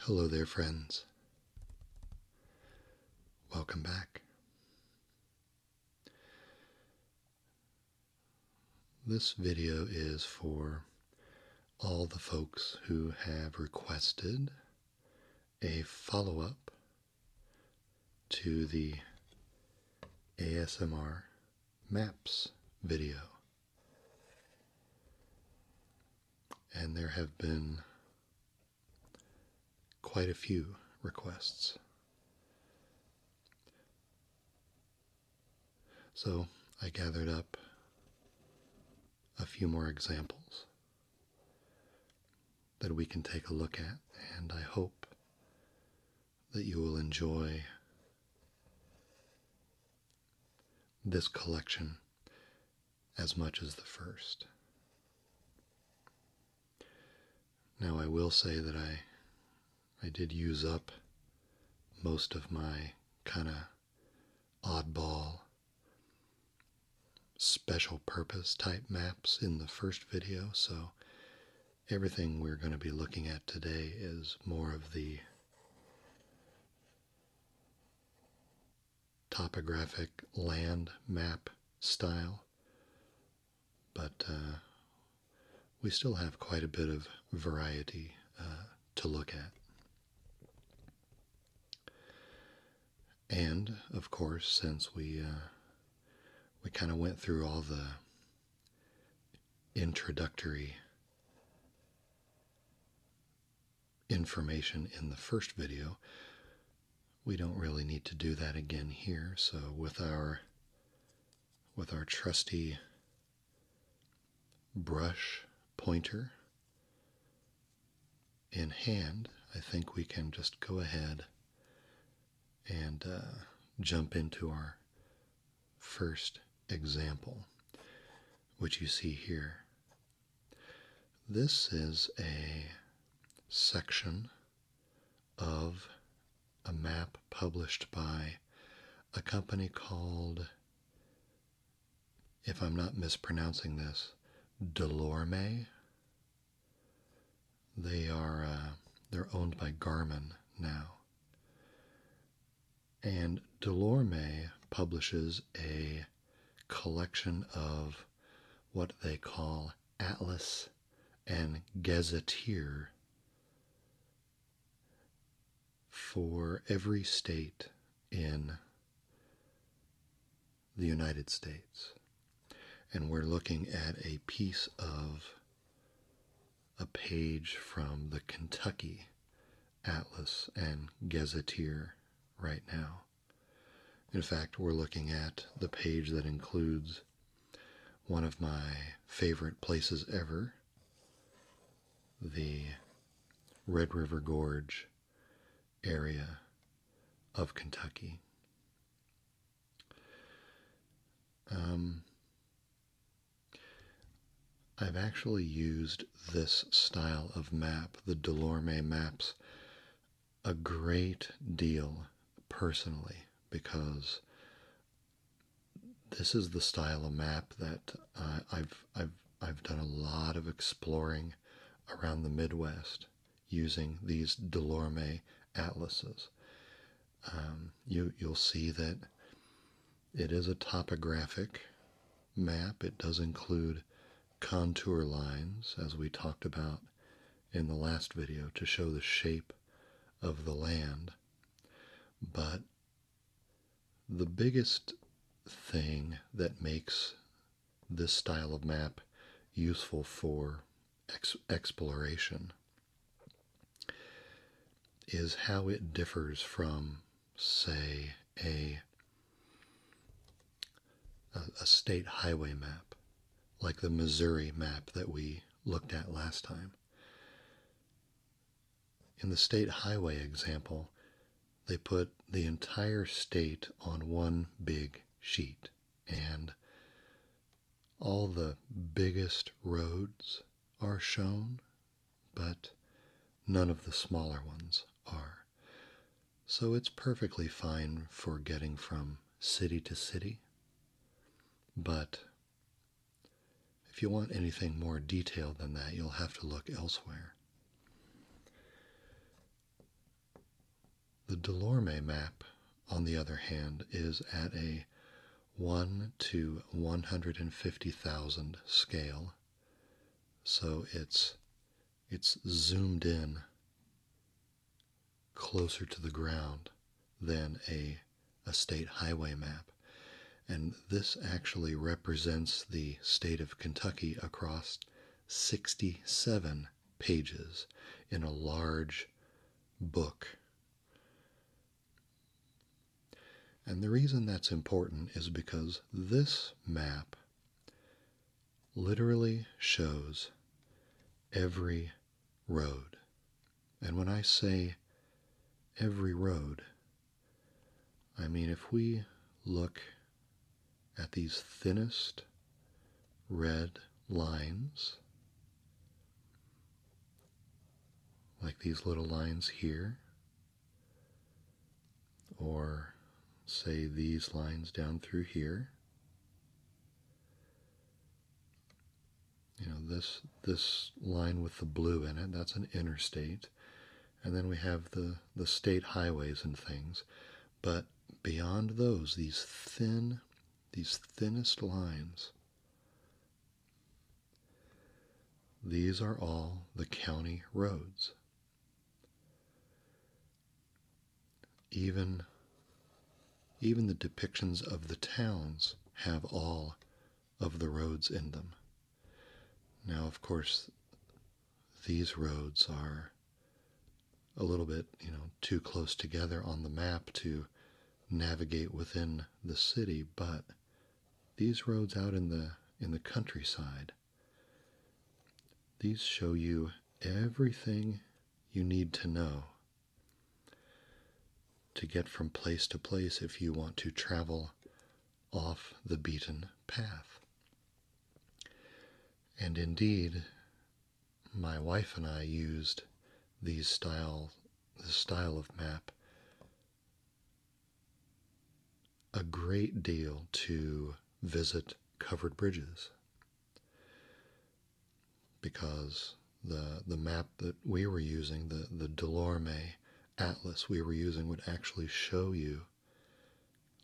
Hello there, friends. Welcome back. This video is for all the folks who have requested a follow up to the ASMR Maps video. And there have been quite a few requests. So I gathered up a few more examples that we can take a look at, and I hope that you will enjoy this collection as much as the first. Now, I will say that I, I did use up most of my kind of oddball special purpose type maps in the first video, so everything we're going to be looking at today is more of the topographic land map style. But uh, we still have quite a bit of variety uh, to look at. And of course, since we uh, we kind of went through all the introductory information in the first video. We don't really need to do that again here. So with our with our trusty brush pointer in hand, I think we can just go ahead and uh, jump into our first example, which you see here this is a section of a map published by a company called, if I'm not mispronouncing this, Delorme. They are uh, they're owned by Garmin now. And Delorme publishes a collection of what they call atlas and gazetteer for every state in the United States. And we're looking at a piece of a page from the Kentucky Atlas and Gazetteer right now. In fact, we're looking at the page that includes one of my favorite places ever the Red River Gorge area of Kentucky. Um, I've actually used this style of map, the Delorme maps, a great deal personally because this is the style of map that I've I've I've done a lot of exploring around the Midwest using these Delorme atlases. Um, you you'll see that it is a topographic map, it does include contour lines, as we talked about in the last video, to show the shape of the land. But the biggest thing that makes this style of map useful for exploration is how it differs from, say, a a, state highway map, like the Missouri map that we looked at last time. In the state highway example, they put the entire state on one big sheet and all the biggest roads are shown, but none of the smaller ones are. So it's perfectly fine for getting from city to city. But if you want anything more detailed than that, you'll have to look elsewhere. The Delorme map, on the other hand, is at a 1 to 150,000 scale, so it's it's zoomed in closer to the ground than a, state highway map. And this actually represents the state of Kentucky across 67 pages in a large book. And the reason that's important is because this map literally shows every road. And when I say every road, I mean if we look at these thinnest red lines, like these little lines here, or say these lines down through here. You know, this this line with the blue in it, that's an interstate. And then we have the, the state highways and things. But beyond those, these thin, these thinnest lines, these are all the county roads. Even, even the depictions of the towns have all of the roads in them. Now, of course, these roads are a little bit, you know, too close together on the map to navigate within the city, but these roads out in the in the countryside these show you everything you need to know to get from place to place if you want to travel off the beaten path. And indeed, my wife and I used these style the style of map a great deal to visit covered bridges because the the map that we were using, the the Delorme atlas we were using, would actually show you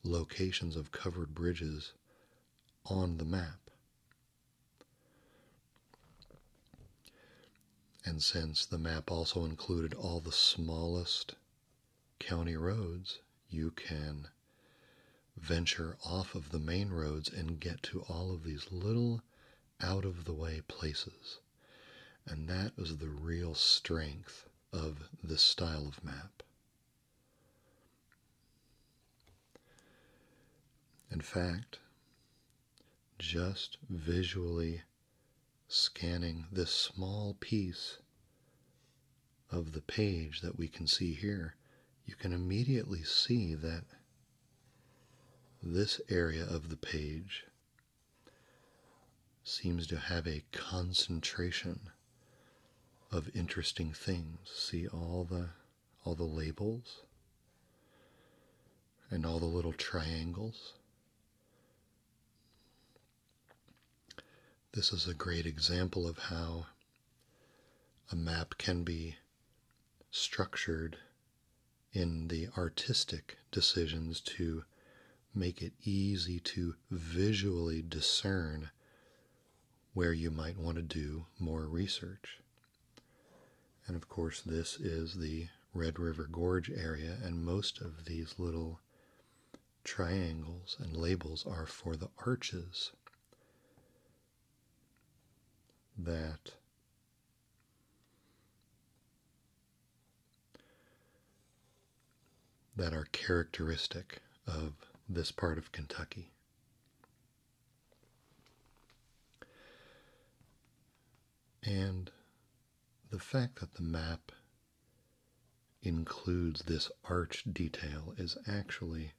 locations of covered bridges on the map. And since the map also included all the smallest county roads, you can venture off of the main roads and get to all of these little out of the way places. And that is the real strength of this style of map. In fact, just visually scanning this small piece of the page that we can see here, you can immediately see that this area of the page seems to have a concentration of interesting things. See all the all the labels and all the little triangles. This is a great example of how a map can be structured in the artistic decisions to make it easy to visually discern where you might want to do more research. And of course, this is the Red River Gorge area, and most of these little triangles and labels are for the arches that that are characteristic of this part of Kentucky. And the fact that the map includes this arch detail is actually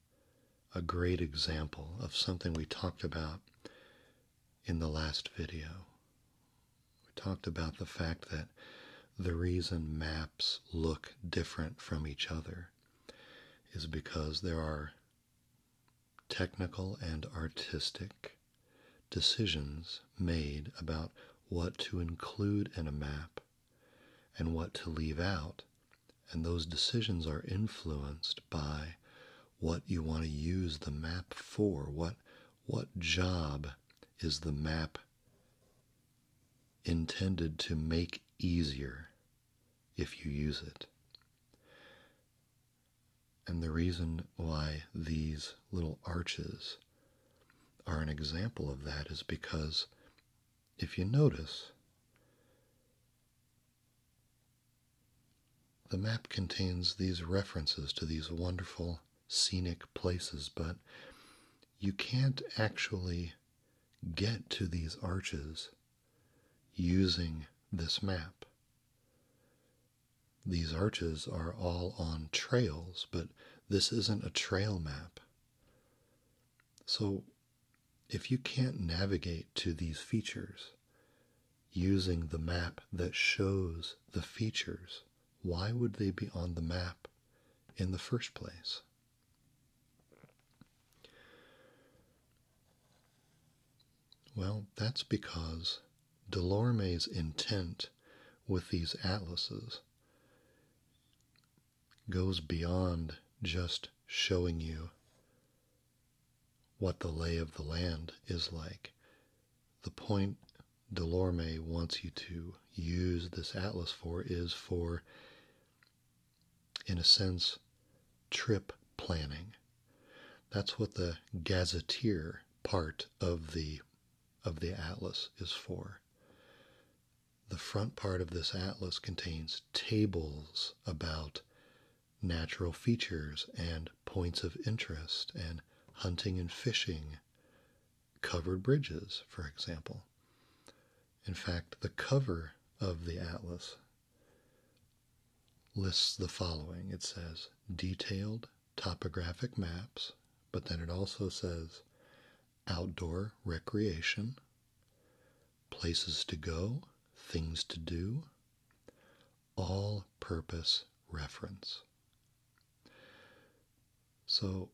a great example of something we talked about in the last video. We talked about the fact that the reason maps look different from each other is because there are technical and artistic decisions made about what to include in a map and what to leave out. And those decisions are influenced by what you want to use the map for. What, what job is the map intended to make easier if you use it? And the reason why these little arches are an example of that is because if you notice, the map contains these references to these wonderful scenic places, but you can't actually get to these arches using this map. These arches are all on trails, but this isn't a trail map. So, if you can't navigate to these features using the map that shows the features, why would they be on the map in the first place? Well, that's because Delorme's intent with these atlases goes beyond just showing you what the lay of the land is like. The point Delorme wants you to use this atlas for is for, in a sense, trip planning. That's what the gazetteer part of the of the atlas is for the front part of this atlas contains tables about natural features and points of interest and hunting and fishing, covered bridges, for example. In fact, the cover of the atlas lists the following it says detailed topographic maps, but then it also says outdoor recreation, places to go, things to do, all purpose reference. So,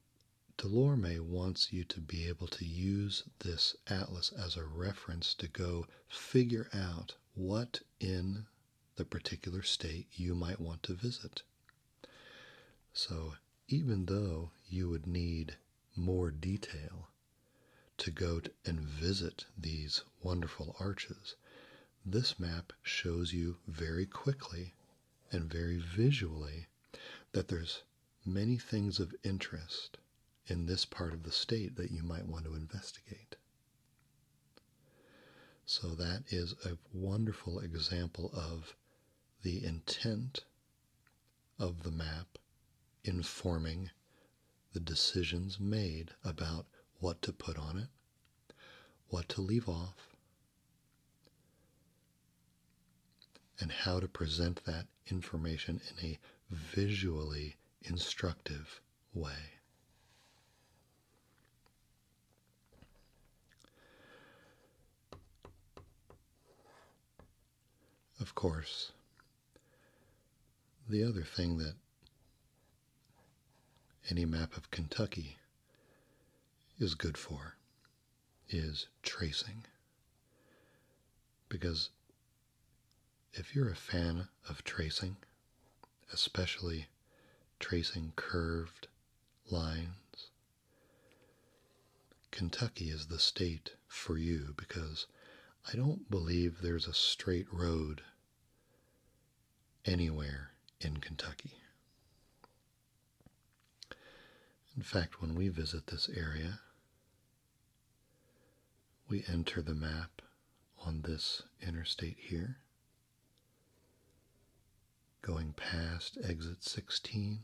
Delorme wants you to be able to use this atlas as a reference to go figure out what in the particular state you might want to visit. So, even though you would need more detail to go and visit these wonderful arches, this map shows you very quickly and very visually that there's many things of interest in this part of the state that you might want to investigate. So that is a wonderful example of the intent of the map informing the decisions made about what to put on it, what to leave off, and how to present that information in a visually instructive way. Of course, the other thing that any map of Kentucky is good for is tracing. Because if you're a fan of tracing, especially tracing curved lines Kentucky is the state for you because I don't believe there's a straight road anywhere in Kentucky. In fact, when we visit this area, we enter the map on this interstate here, going past exit 16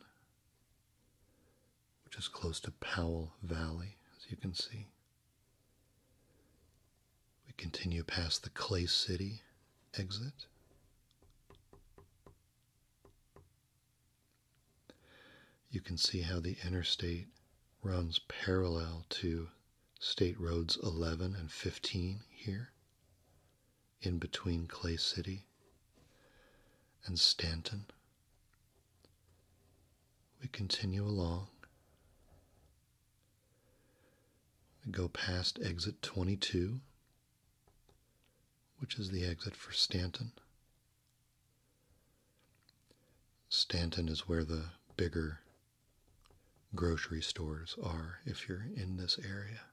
which is close to Powell Valley, as you can see. We continue past the Clay City exit. You can see how the interstate runs parallel to State Roads 11 and 15 here, in between Clay City and Stanton. We continue along. We go past exit 22, which is the exit for Stanton. Stanton is where the bigger grocery stores are if you're in this area.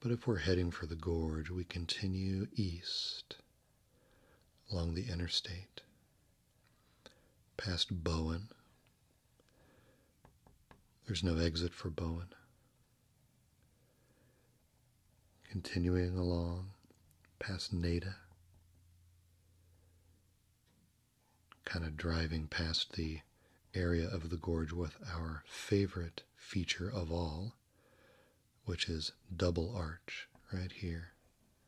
But if we're heading for the gorge, we continue east along the interstate, past Bowen. There's no exit for Bowen. Continuing along past Nada, kind of driving past the area of the gorge with our favorite feature of all which is double arch right here.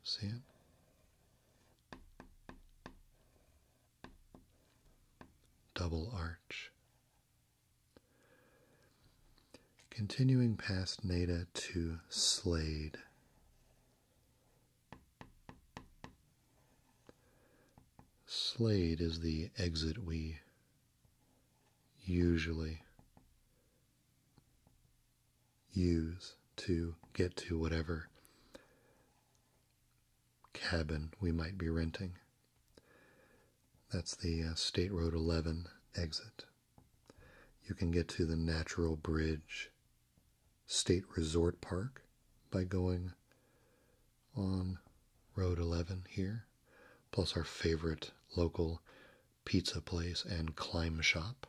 See it? Double arch. Continuing past Nada to Slade. Slade is the exit we usually use to get to whatever cabin we might be renting. That's the uh, State Road 11 exit. You can get to the Natural Bridge State Resort Park by going on Road 11 here plus our favorite local pizza place and climb shop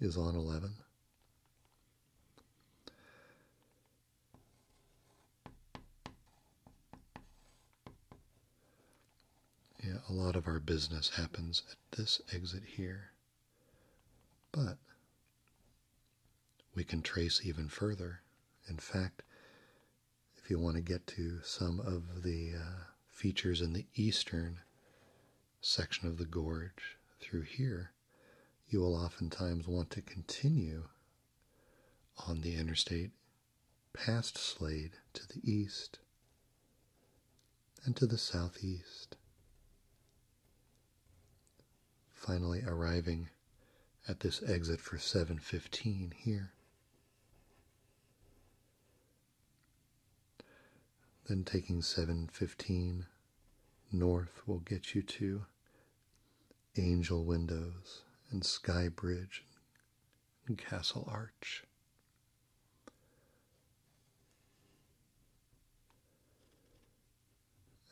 is on 11. Yeah, a lot of our business happens at this exit here. But we can trace even further. In fact, if you want to get to some of the uh, features in the eastern section of the gorge through here, you will oftentimes want to continue on the interstate past Slade to the east and to the southeast. Finally, arriving at this exit for 715 here. Then taking 715 north will get you to Angel Windows and Sky Bridge and Castle Arch.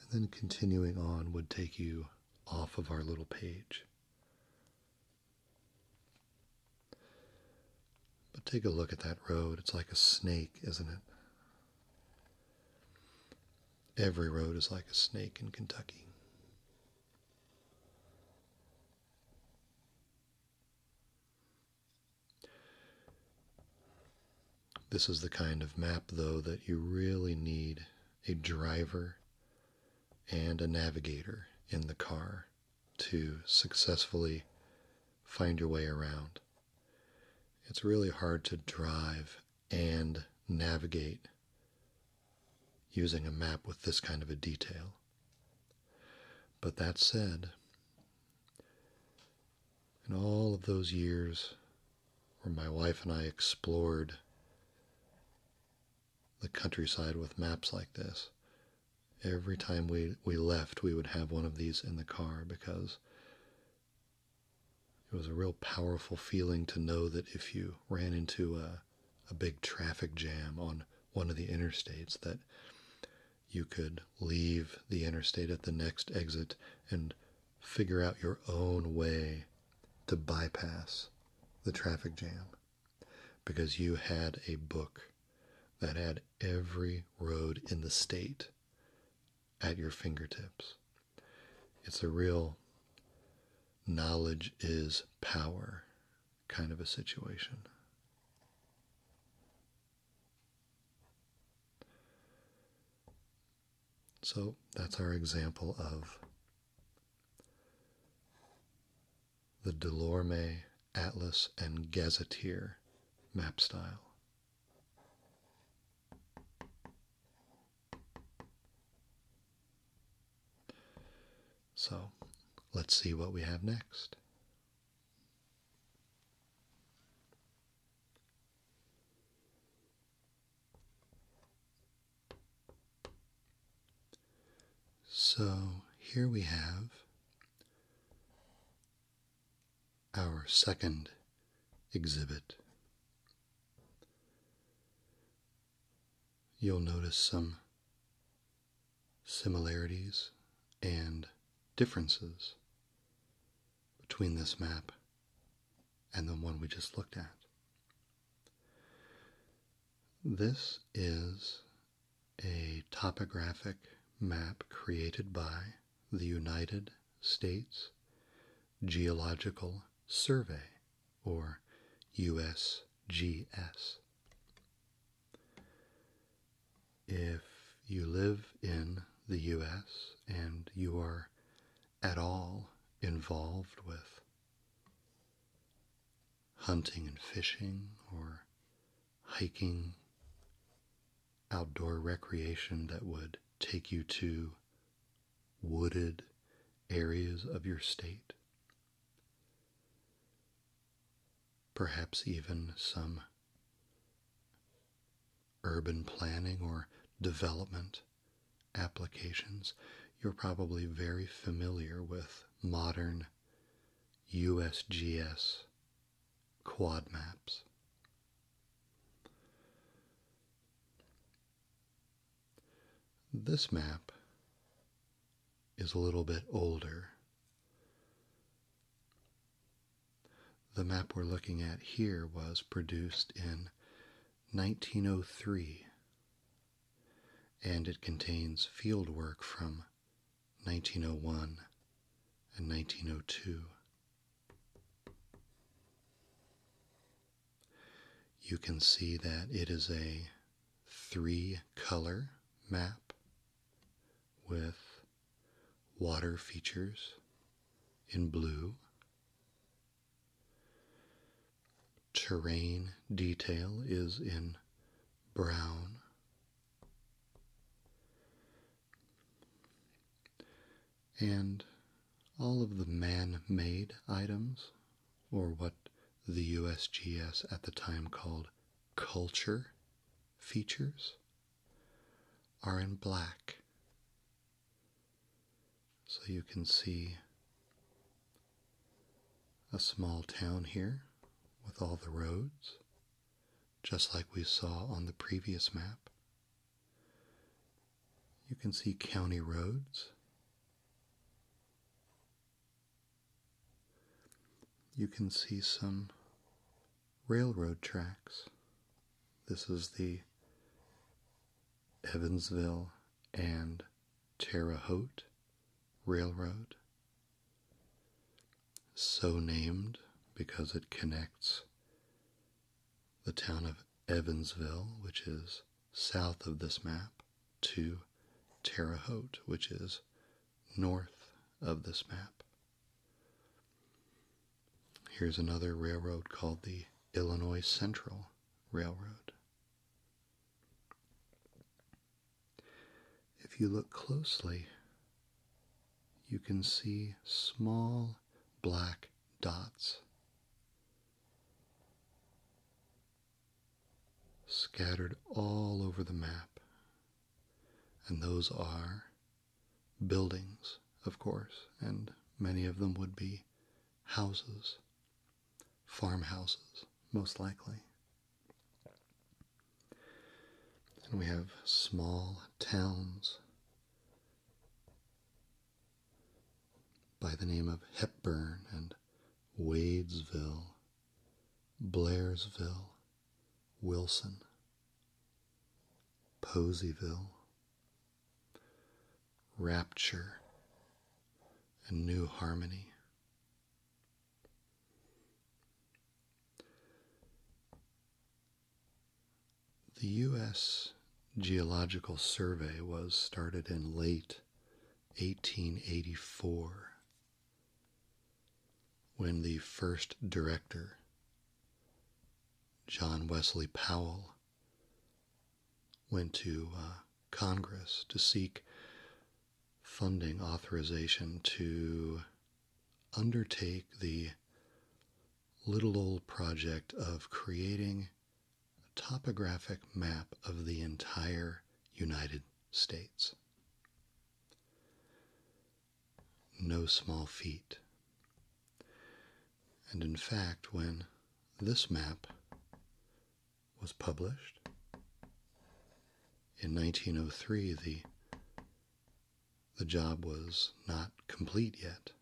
And then continuing on would take you off of our little page but take a look at that road. It's like a snake, isn't it? Every road is like a snake in Kentucky. This is the kind of map, though, that you really need a driver and a navigator in the car to successfully find your way around. It's really hard to drive and navigate using a map with this kind of a detail. But that said, in all of those years where my wife and I explored the countryside with maps like this. Every time we, we left, we would have one of these in the car because it was a real powerful feeling to know that if you ran into a, a big traffic jam on one of the interstates, that you could leave the interstate at the next exit and figure out your own way to bypass the traffic jam because you had a book that had every road in the state at your fingertips. It's a real knowledge is power kind of a situation. So that's our example of the Delorme Atlas and Gazetteer map style. So let's see what we have next. So here we have our second exhibit. You'll notice some similarities and differences between this map and the one we just looked at. This is a topographic map created by the United States Geological Survey, or USGS. If you live in the US and you are at all involved with hunting and fishing or hiking, outdoor recreation that would take you to wooded areas of your state. Perhaps even some urban planning or development applications you're probably very familiar with modern USGS quad maps. This map is a little bit older. The map we're looking at here was produced in 1903 and it contains field work from 1901 and 1902. You can see that it is a three color map with water features in blue Terrain detail is in brown. And all of the man made items, or what the USGS at the time called culture features, are in black. So you can see a small town here with all the roads, just like we saw on the previous map. You can see county roads. You can see some railroad tracks. This is the Evansville and Terre Haute Railroad, so named because it connects the town of Evansville, which is south of this map, to Terre Haute, which is north of this map. Here's another railroad called the Illinois Central Railroad. If you look closely, you can see small black dots scattered all over the map, and those are buildings, of course, and many of them would be houses farmhouses, most likely. And we have small towns by the name of Hepburn and Wadesville, Blairsville, Wilson, Poseyville, Rapture, and New Harmony. The U.S. Geological Survey was started in late 1884 when the first director, John Wesley Powell, went to uh, Congress to seek funding authorization to undertake the little old project of creating a topographic map of the entire United States. No small feat. And in fact, when this map was published. In 1903, the, the job was not complete yet.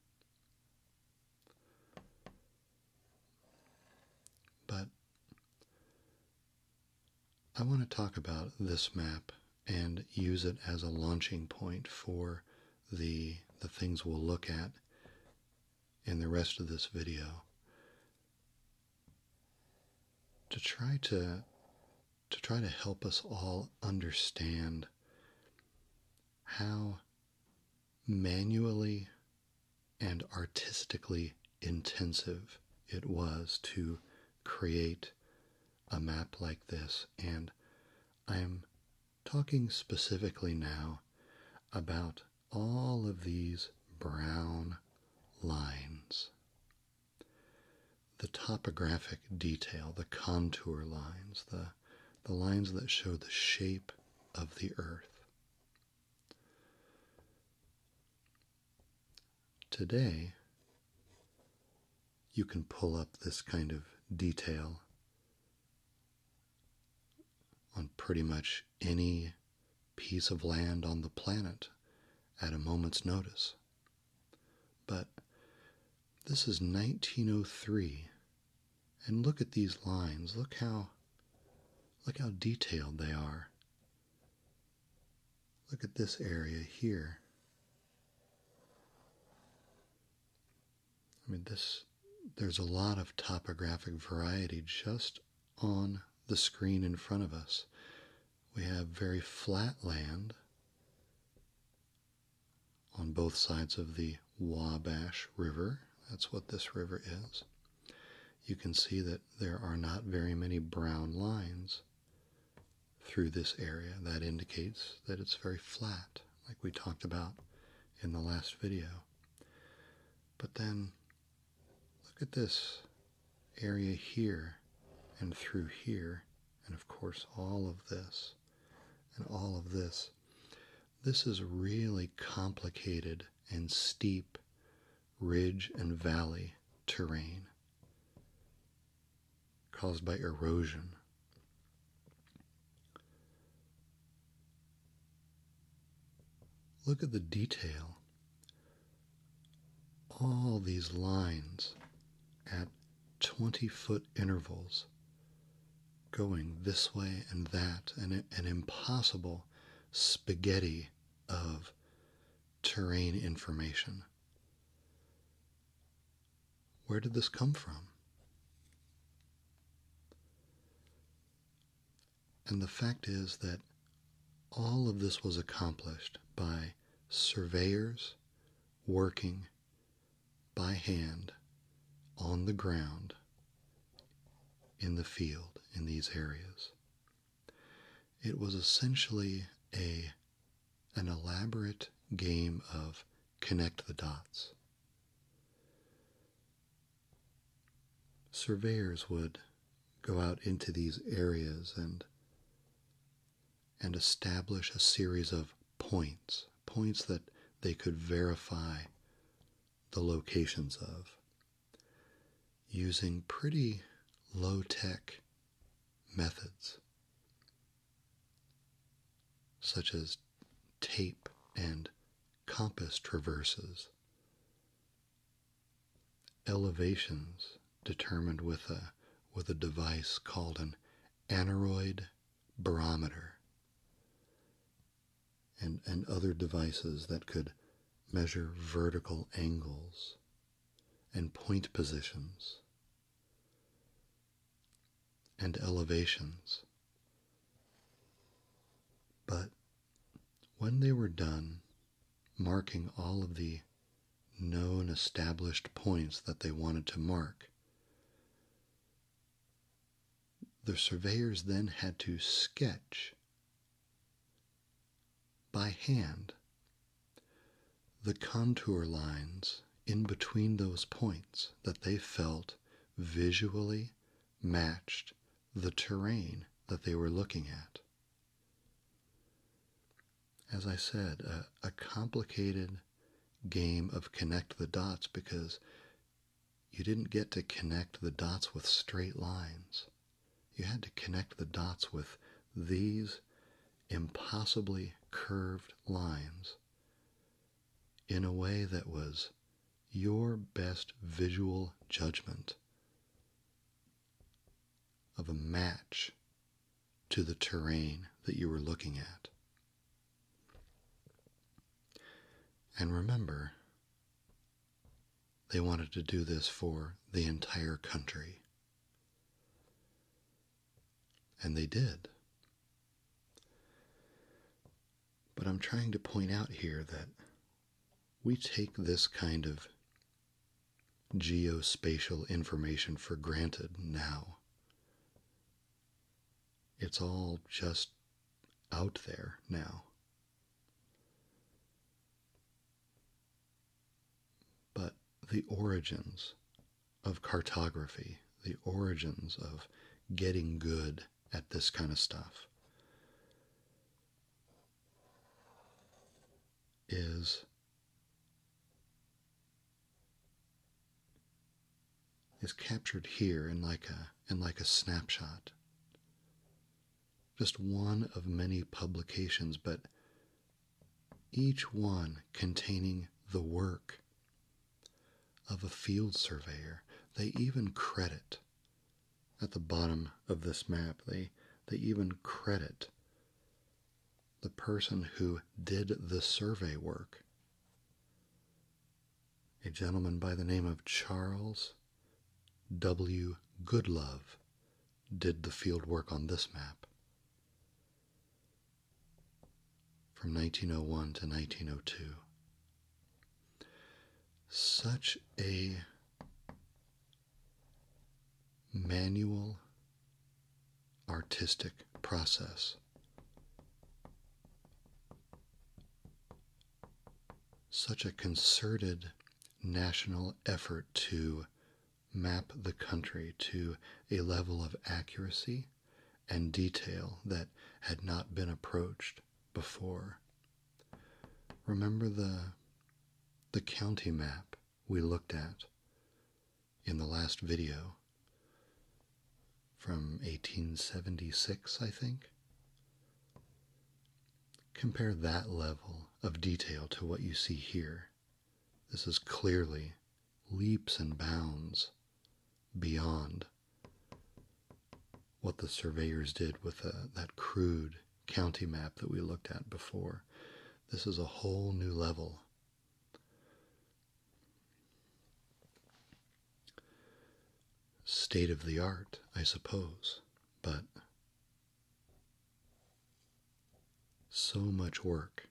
But I want to talk about this map and use it as a launching point for the, the things we'll look at in the rest of this video to try to to try to help us all understand how manually and artistically intensive it was to create a map like this and I'm talking specifically now about all of these brown lines. The topographic detail, the contour lines, the, the lines that show the shape of the earth. Today, you can pull up this kind of detail on pretty much any piece of land on the planet at a moment's notice. But this is 1903. And look at these lines. Look how look how detailed they are. Look at this area here. I mean this there's a lot of topographic variety just on the screen in front of us. We have very flat land on both sides of the Wabash River. That's what this river is. You can see that there are not very many brown lines through this area. That indicates that it's very flat, like we talked about in the last video. But then Look at this area here and through here, and of course all of this and all of this. This is really complicated and steep ridge and valley terrain caused by erosion. Look at the detail all these lines at 20 foot intervals going this way and that, and an impossible spaghetti of terrain information. Where did this come from? And the fact is that all of this was accomplished by surveyors working by hand on the ground in the field in these areas. It was essentially a an elaborate game of connect the dots surveyors would go out into these areas and establish a series of points, points that they could verify the locations of using pretty low tech methods such as tape and compass traverses Elevations determined with a with a device called an aneroid barometer and, and other devices that could measure vertical angles and point positions and elevations. But when they were done, marking all of the known established points that they wanted to mark. The surveyors then had to sketch by hand the contour lines in between those points that they felt visually matched the terrain that they were looking at. As I said, a, complicated game of connect the dots because you didn't get to connect the dots with straight lines. You had to connect the dots with these impossibly curved lines in a way that was your best visual judgment of a match to the terrain that you were looking at. And remember, they wanted to do this for the entire country. And they did. But I'm trying to point out here that we take this kind of geospatial information for granted now. It's all just out there now. But the origins of cartography, the origins of getting good at this kind of stuff, is is captured here in like a in like a snapshot just one of many publications but each one containing the work of a field surveyor they even credit at the bottom of this map. They they even credit the person who did the survey work. A gentleman by the name of Charles W. Goodlove did the field work on this map. From 1901 to 1902. Such a manual artistic process. Such a concerted national effort to map the country to a level of accuracy and detail that had not been approached before Remember the the county map we looked at in the last video from 1876, I think? Compare that level of detail to what you see here. This is clearly leaps and bounds beyond what the surveyors did with uh, that crude county map that we looked at before. This is a whole new level. State of the art, I suppose, but so much work.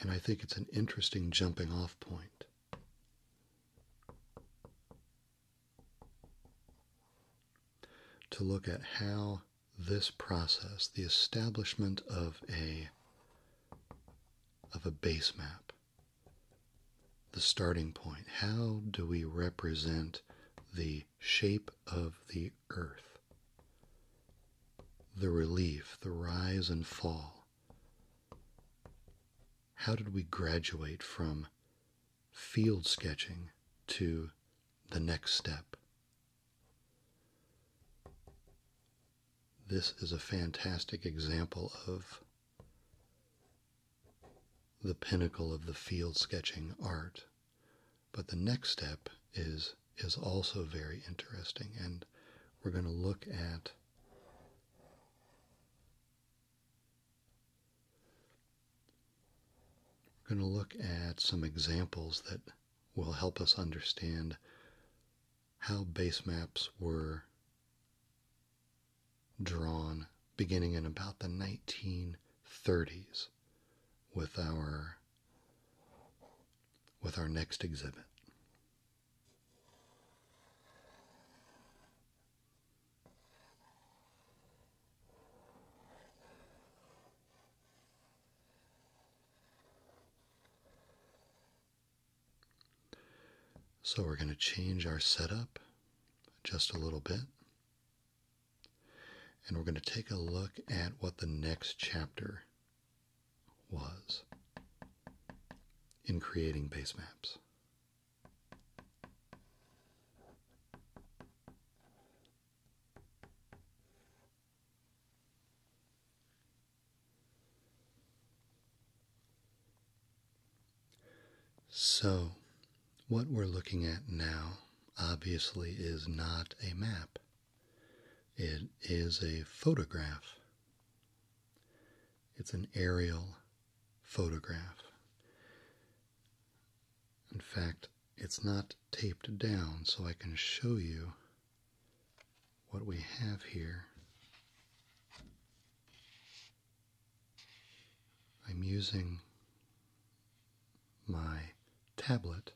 And I think it's an interesting jumping off point to look at how this process, the establishment of a of a base map, the starting point, how do we represent the shape of the earth, the relief, the rise and fall? How did we graduate from field sketching to the next step. This is a fantastic example of the pinnacle of the field sketching art. But the next step is is also very interesting and we're going to look at we're going to look at some examples that will help us understand how base maps were drawn beginning in about the 1930s with our with our next exhibit. So we're going to change our setup just a little bit. And we're going to take a look at what the next chapter was in creating base maps. So, what we're looking at now obviously is not a map. It is a photograph. It's an aerial photograph. In fact, it's not taped down, so I can show you what we have here. I'm using my tablet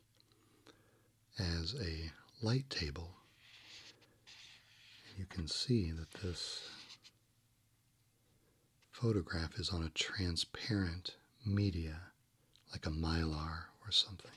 as a light table. You can see that this photograph is on a transparent media, like a mylar or something.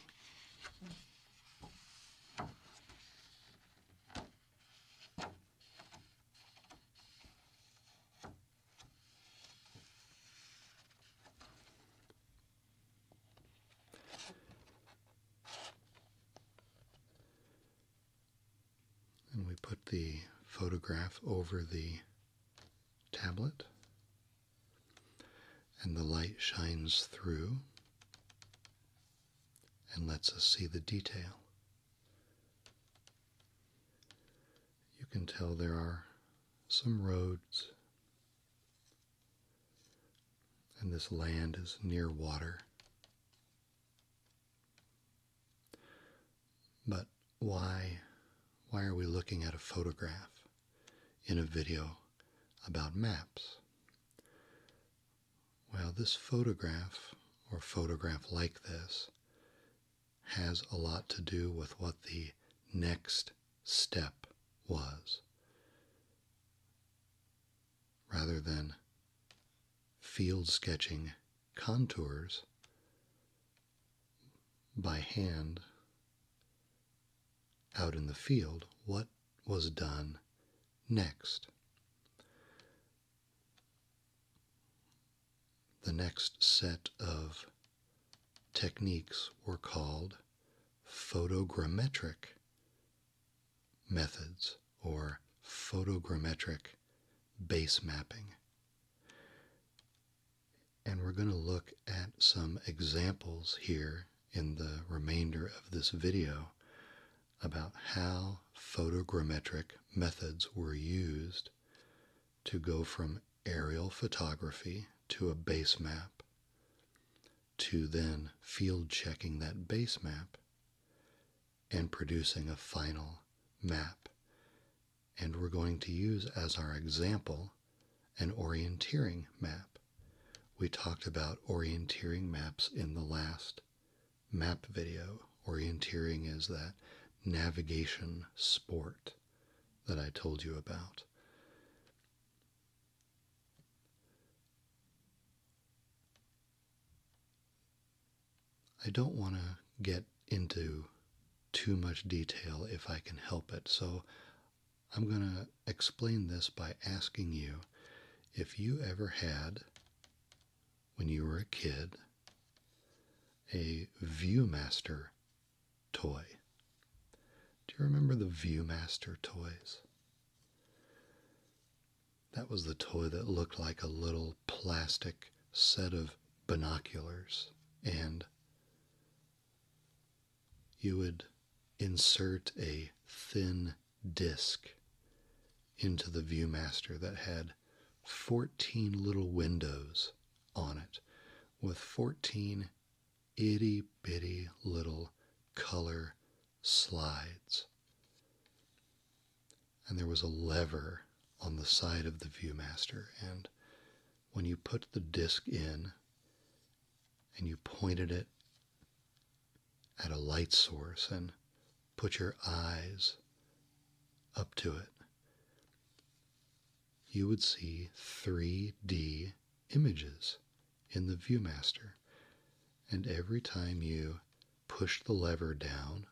And we put the photograph over the tablet, and the light shines through and lets us see the detail. You can tell there are some roads, and this land is near water. But why, why are we looking at a photograph in a video about maps? Well, this photograph, or photograph like this, has a lot to do with what the next step was. Rather than field sketching contours by hand out in the field what was done next. The next set of techniques were called photogrammetric methods or photogrammetric base mapping. And we're going to look at some examples here in the remainder of this video about how photogrammetric methods were used to go from aerial photography to a base map, to then field checking that base map, and producing a final map. And we're going to use as our example an orienteering map. We talked about orienteering maps in the last map video. Orienteering is that navigation sport that I told you about. I don't want to get into too much detail if I can help it, so I'm going to explain this by asking you if you ever had, when you were a kid, a Viewmaster toy. Do you remember the Viewmaster toys? That was the toy that looked like a little plastic set of binoculars. And you would insert a thin disc into the Viewmaster that had 14 little windows on it with 14 itty bitty little color slides and there was a lever on the side of the Viewmaster. And when you put the disc in and you pointed it at a light source and put your eyes up to it, you would see 3D images in the Viewmaster. And every time you pushed the lever down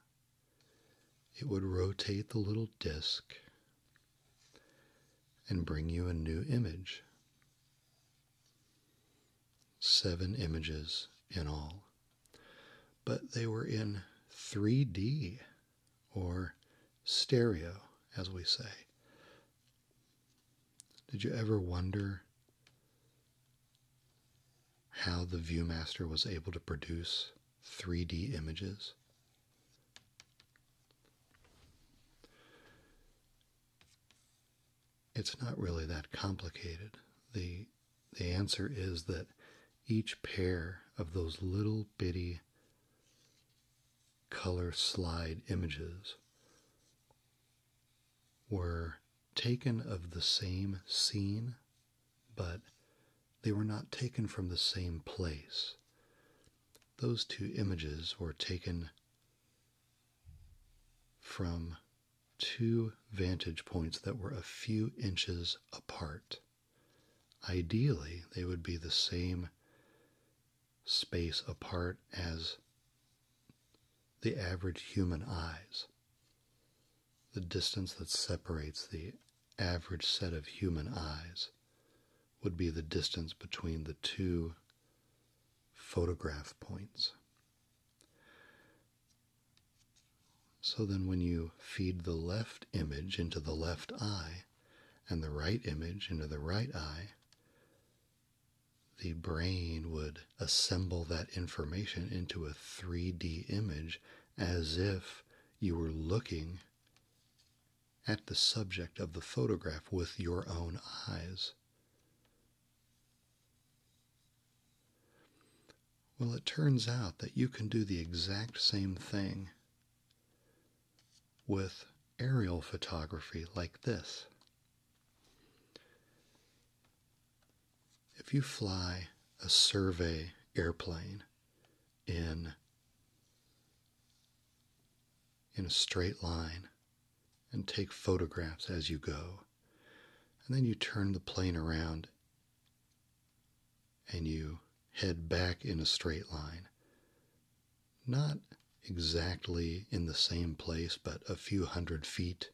it would rotate the little disc and bring you a new image. Seven images in all. But they were in 3D or stereo, as we say. Did you ever wonder how the Viewmaster was able to produce 3D images. It's not really that complicated. The, the answer is that each pair of those little bitty color slide images were taken of the same scene but they were not taken from the same place. Those two images were taken from two vantage points that were a few inches apart. Ideally, they would be the same space apart as the average human eyes. The distance that separates the average set of human eyes would be the distance between the two photograph points. So then, when you feed the left image into the left eye and the right image into the right eye, the brain would assemble that information into a 3D image as if you were looking at the subject of the photograph with your own eyes. Well, it turns out that you can do the exact same thing with aerial photography like this. If you fly a survey airplane in in a straight line and take photographs as you go, and then you turn the plane around and you head back in a straight line. Not exactly in the same place, but a few hundred feet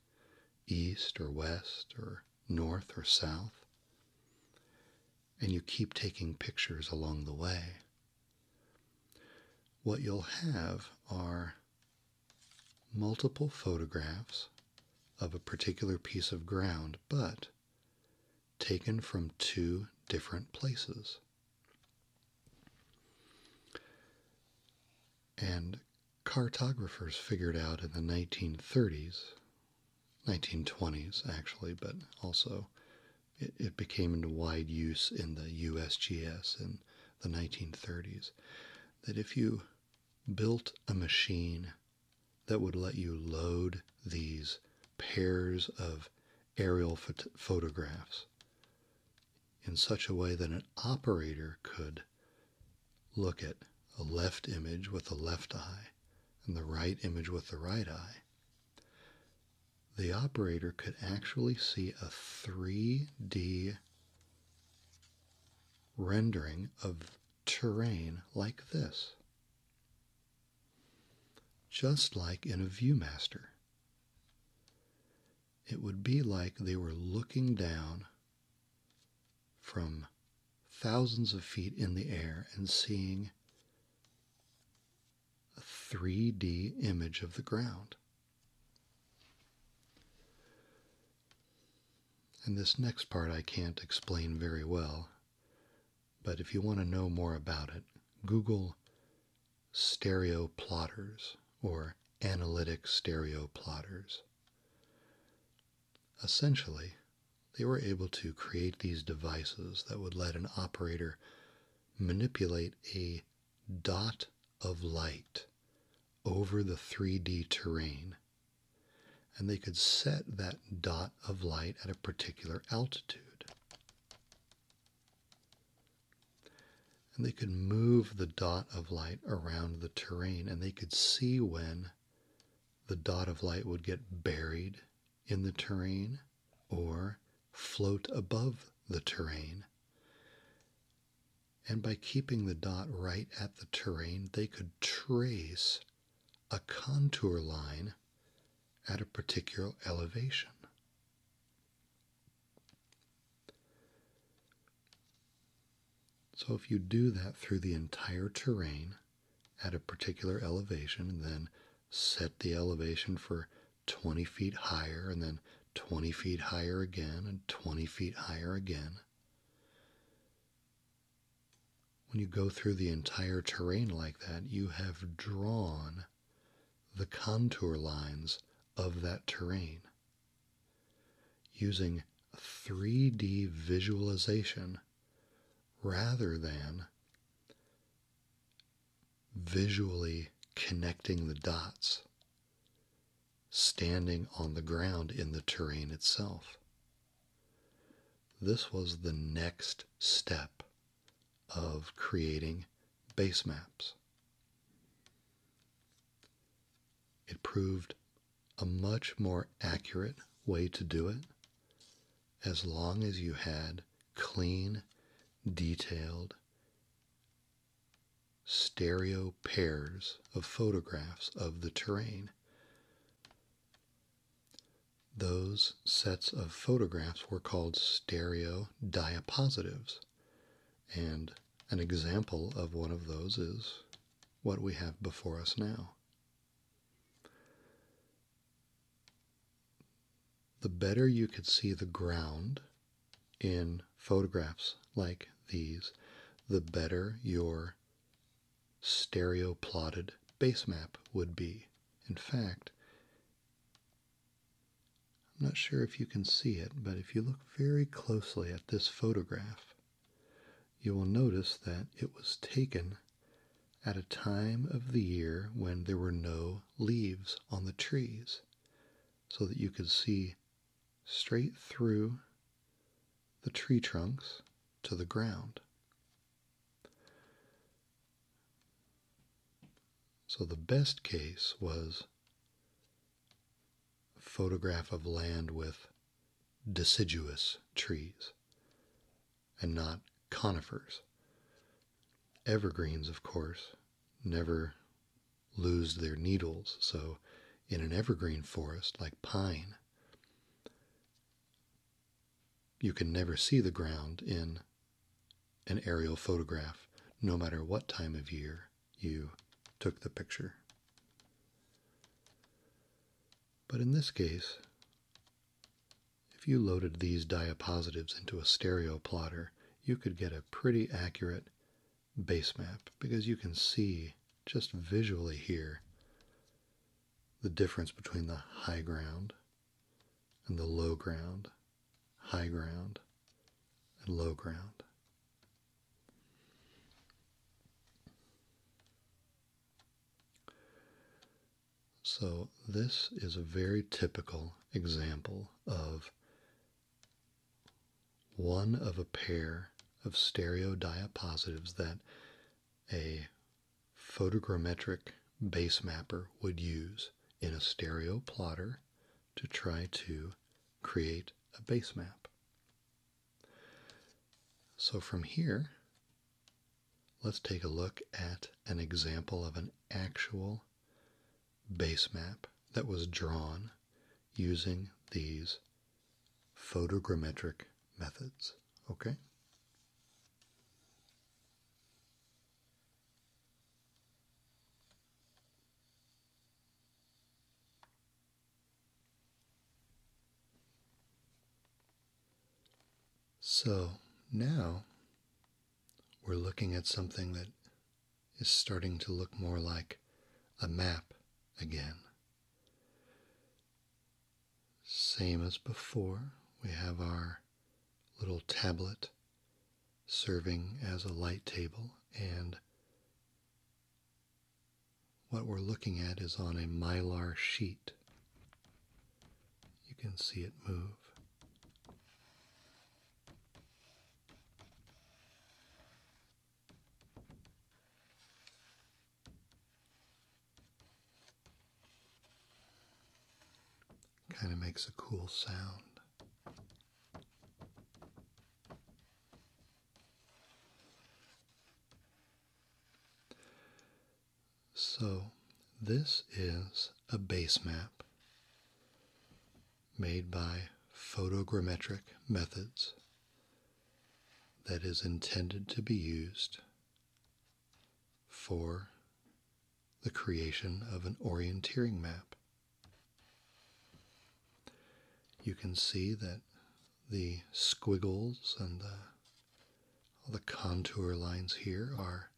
east or west or north or south. And you keep taking pictures along the way. What you'll have are multiple photographs of a particular piece of ground, but taken from two different places. And cartographers figured out in the 1930s 1920s actually, but also it, became into wide use in the USGS in the 1930s. That if you built a machine that would let you load these pairs of aerial photographs in such a way that an operator could look at a left image with the left eye and the right image with the right eye, the operator could actually see a 3D rendering of terrain like this. Just like in a Viewmaster. It would be like they were looking down from thousands of feet in the air and seeing a 3D image of the ground. And this next part I can't explain very well, but if you want to know more about it, Google stereo plotters or analytic stereo plotters. Essentially, they were able to create these devices that would let an operator manipulate a dot of light over the 3D terrain. And they could set that dot of light at a particular altitude. And they could move the dot of light around the terrain and they could see when the dot of light would get buried in the terrain or float above the terrain. And by keeping the dot right at the terrain, they could trace a contour line at a particular elevation. So if you do that through the entire terrain, at a particular elevation then set the elevation for 20 feet higher and then 20 feet higher again and 20 feet higher again. When you go through the entire terrain like that, you have drawn the contour lines of that terrain using 3D visualization rather than visually connecting the dots standing on the ground in the terrain itself. This was the next step of creating base maps. It proved a much more accurate way to do it as long as you had clean, detailed, stereo pairs of photographs of the terrain. Those sets of photographs were called stereo diapositives, and an example of one of those is what we have before us now the better you could see the ground in photographs like these, the better your stereo plotted base map would be. In fact, I'm not sure if you can see it, but if you look very closely at this photograph, you will notice that it was taken at a time of the year when there were no leaves on the trees, so that you could see straight through the tree trunks to the ground. So the best case was photograph of land with deciduous trees and not conifers. Evergreens, of course, never lose their needles, so in an evergreen forest like pine, you can never see the ground in an aerial photograph, no matter what time of year you took the picture. But in this case, if you loaded these diapositives into a stereo plotter, you could get a pretty accurate base map because you can see just visually here the difference between the high ground and the low ground, high ground and low ground. So this is a very typical example of one of a pair of stereo diapositives that a photogrammetric base mapper would use in a stereo plotter to try to create a base map. So from here, let's take a look at an example of an actual base map that was drawn using these photogrammetric methods, okay? So now we're looking at something that is starting to look more like a map again. Same as before, we have our little tablet serving as a light table and what we're looking at is on a mylar sheet. You can see it move. Kind of makes a cool sound. So, this is a base map made by photogrammetric methods that is intended to be used for the creation of an orienteering map. You can see that the squiggles and the all the contour lines here are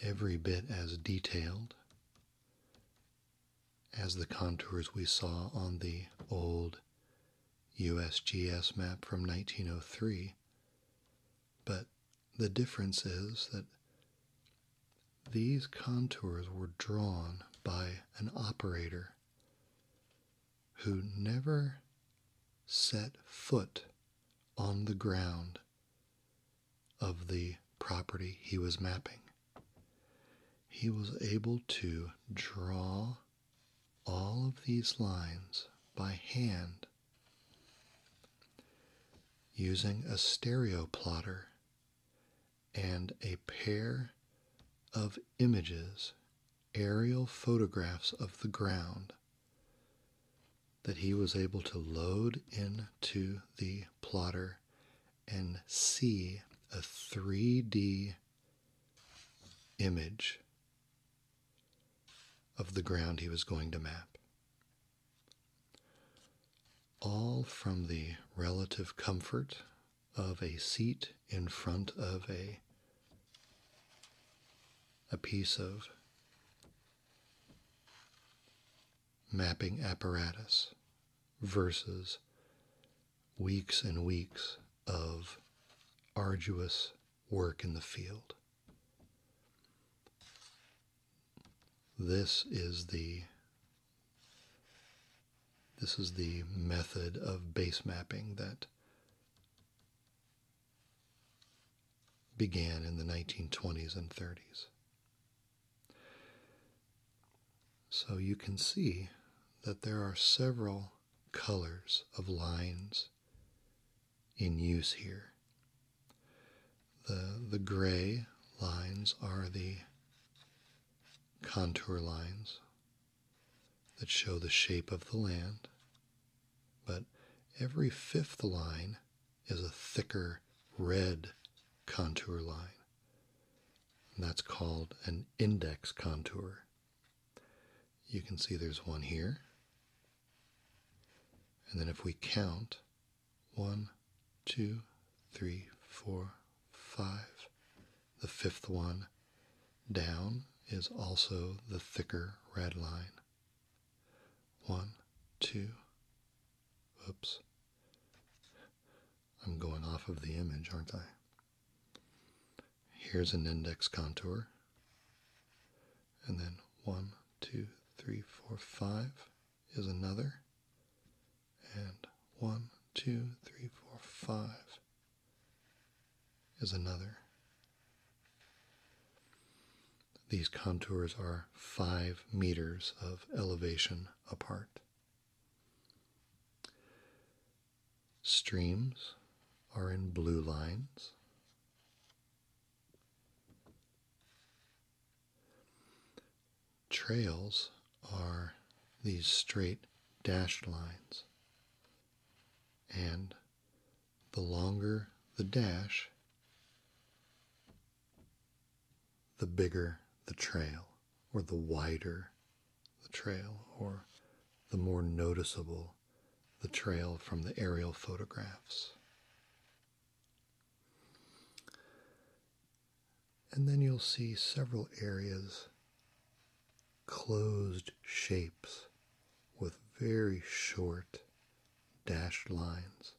every bit as detailed as the contours we saw on the old USGS map from 1903. But the difference is that these contours were drawn by an operator who never set foot on the ground of the property he was mapping. He was able to draw all of these lines by hand using a stereo plotter and a pair of images aerial photographs of the ground that he was able to load into the plotter and see a 3D image of the ground he was going to map. All from the relative comfort of a seat in front of a a piece of mapping apparatus versus weeks and weeks of arduous work in the field. This is the this is the method of base mapping that began in the 1920s and 30s. So you can see that there are several colors of lines in use here. The, the gray lines are the contour lines that show the shape of the land, but every fifth line is a thicker red contour line. And that's called an index contour. You can see there's one here. And then if we count, one, two, three, four, five, the fifth one down is also the thicker red line. One, two, oops. I'm going off of the image, aren't I? Here's an index contour. And then one, two, three, four, five is another. And one, two, three, four, five is another. These contours are five meters of elevation apart. Streams are in blue lines. Trails are these straight dashed lines and the longer the dash, the bigger the trail, or the wider the trail, or the more noticeable the trail from the aerial photographs. And then you'll see several areas closed shapes with very short dashed lines.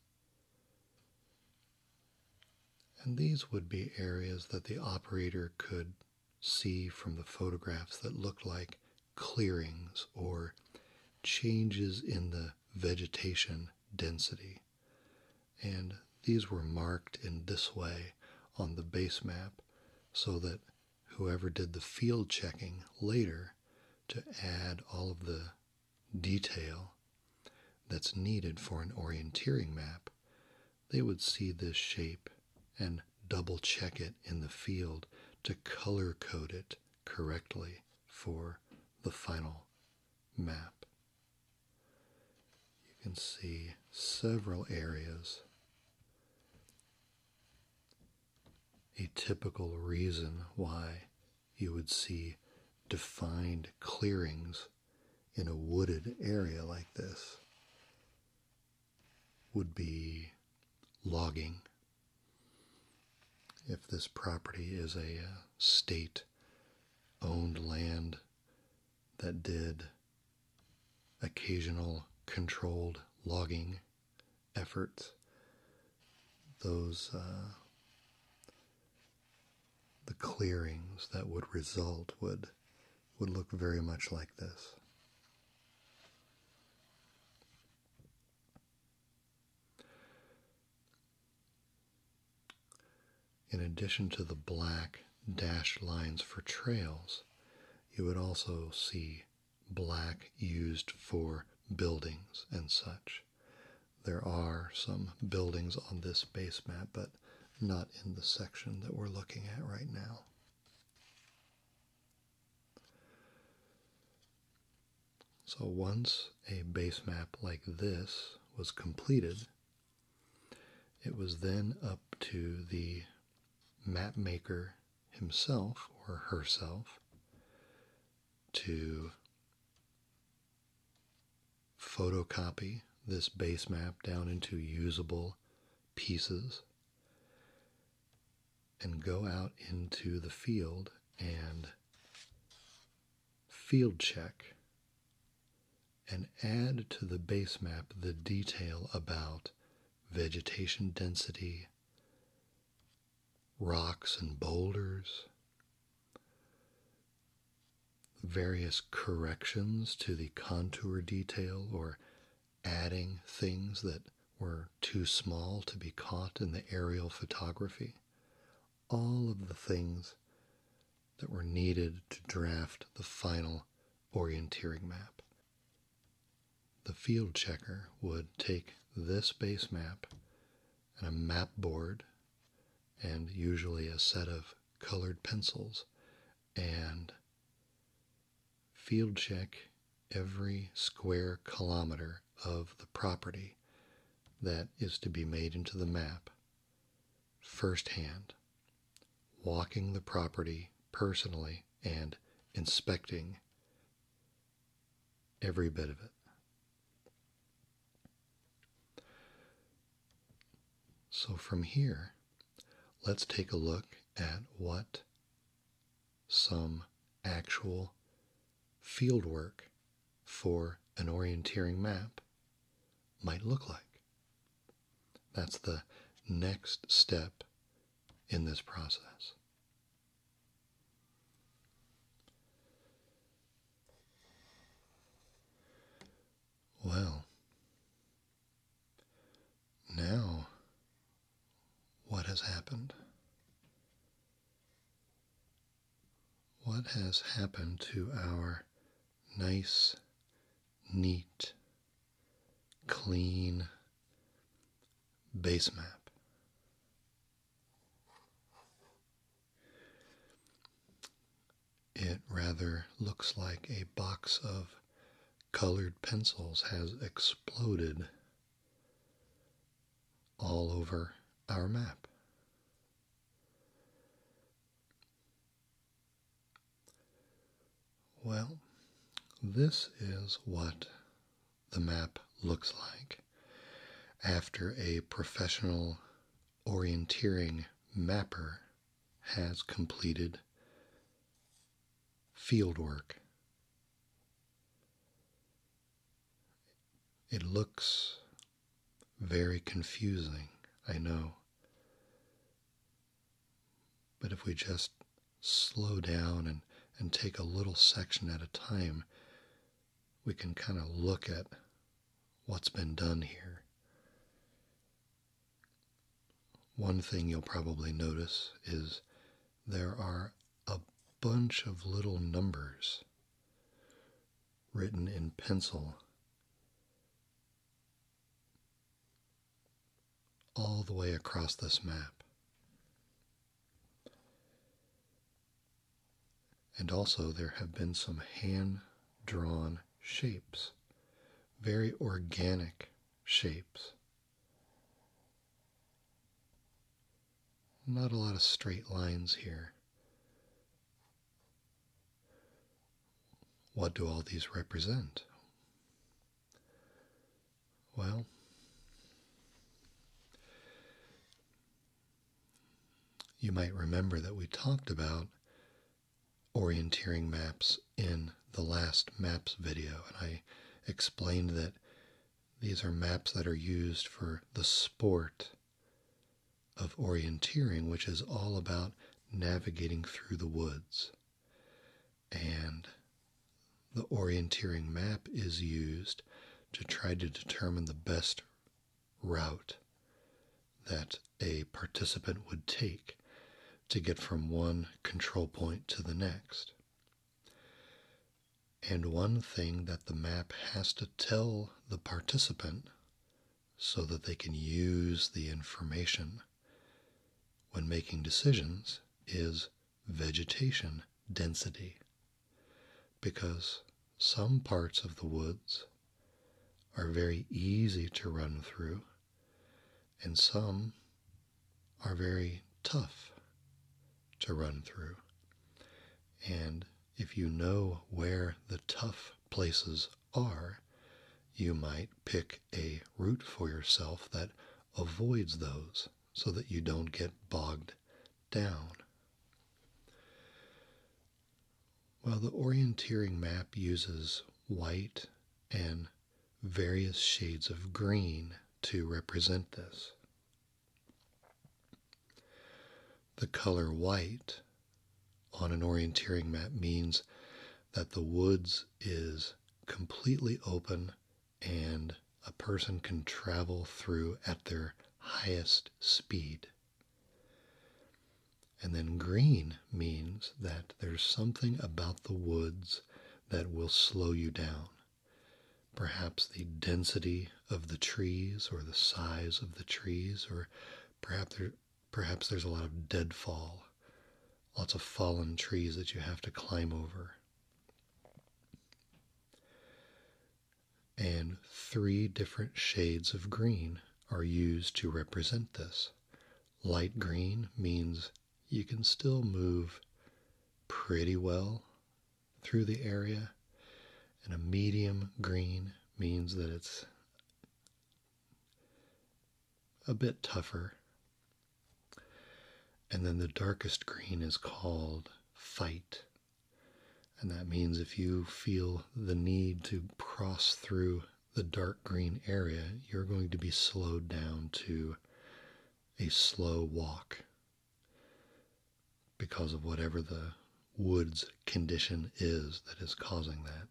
And these would be areas that the operator could see from the photographs that looked like clearings or changes in the vegetation density. And these were marked in this way on the base map so that whoever did the field checking later to add all of the detail that's needed for an orienteering map, they would see this shape and double check it in the field to color code it correctly for the final map. You can see several areas a typical reason why you would see defined clearings in a wooded area like this would be logging. If this property is a uh, state owned land that did occasional controlled logging efforts. Those uh, the clearings that would result would would look very much like this. In addition to the black dashed lines for trails, you would also see black used for buildings and such. There are some buildings on this base map, but not in the section that we're looking at right now. So once a base map like this was completed, it was then up to the map maker himself or herself to photocopy this base map down into usable pieces and go out into the field and field check and add to the base map the detail about vegetation density, rocks and boulders, various corrections to the contour detail or adding things that were too small to be caught in the aerial photography. All of the things that were needed to draft the final orienteering map. The field checker would take this base map and a map board and usually a set of colored pencils and field check every square kilometer of the property that is to be made into the map firsthand, walking the property personally and inspecting every bit of it. So from here, let's take a look at what some actual field work for an orienteering map might look like. That's the next step in this process. Well, now what has happened? What has happened to our nice, neat, clean base map. It rather looks like a box of colored pencils has exploded all over our map. Well, this is what the map looks like after a professional orienteering mapper has completed fieldwork. It looks very confusing, I know. But if we just slow down and, and take a little section at a time, we can kind of look at what's been done here. One thing you'll probably notice is there are a bunch of little numbers written in pencil all the way across this map. And also, there have been some hand drawn shapes, very organic shapes. Not a lot of straight lines here. What do all these represent? Well, you might remember that we talked about orienteering maps in the last maps video, and I explained that these are maps that are used for the sport of orienteering, which is all about navigating through the woods and the orienteering map is used to try to determine the best route that a participant would take to get from one control point to the next. And one thing that the map has to tell the participant so that they can use the information when making decisions is vegetation density because some parts of the woods are very easy to run through and some are very tough to run through. And if you know where the tough places are, you might pick a route for yourself that avoids those so that you don't get bogged down. While the orienteering map uses white and various shades of green to represent this. The color white on an orienteering map means that the woods is completely open and a person can travel through at their highest speed. And then green means that there's something about the woods that will slow you down. Perhaps the density of the trees or the size of the trees, or perhaps, there's a lot of deadfall, lots of fallen trees that you have to climb over. And three different shades of green are used to represent this. Light green means you can still move pretty well through the area, and a medium green means that it's a bit tougher and then the darkest green is called fight. And that means if you feel the need to cross through the dark green area, you're going to be slowed down to a slow walk because of whatever the woods condition is that is causing that.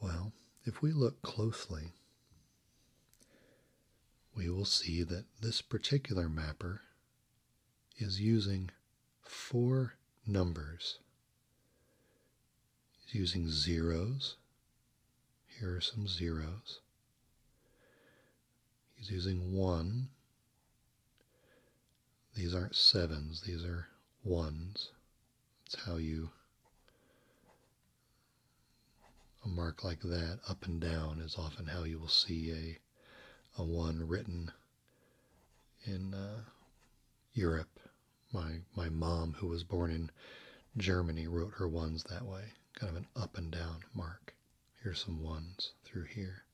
Well, if we look closely, we will see that this particular mapper is using four numbers. He's using zeros. Here are some zeros. He's using one. These aren't sevens, these are ones. That's how you a mark like that, up and down, is often how you will see a, a one written in uh, Europe. My my mom, who was born in Germany, wrote her ones that way, kind of an up and down mark. Here's some ones through here.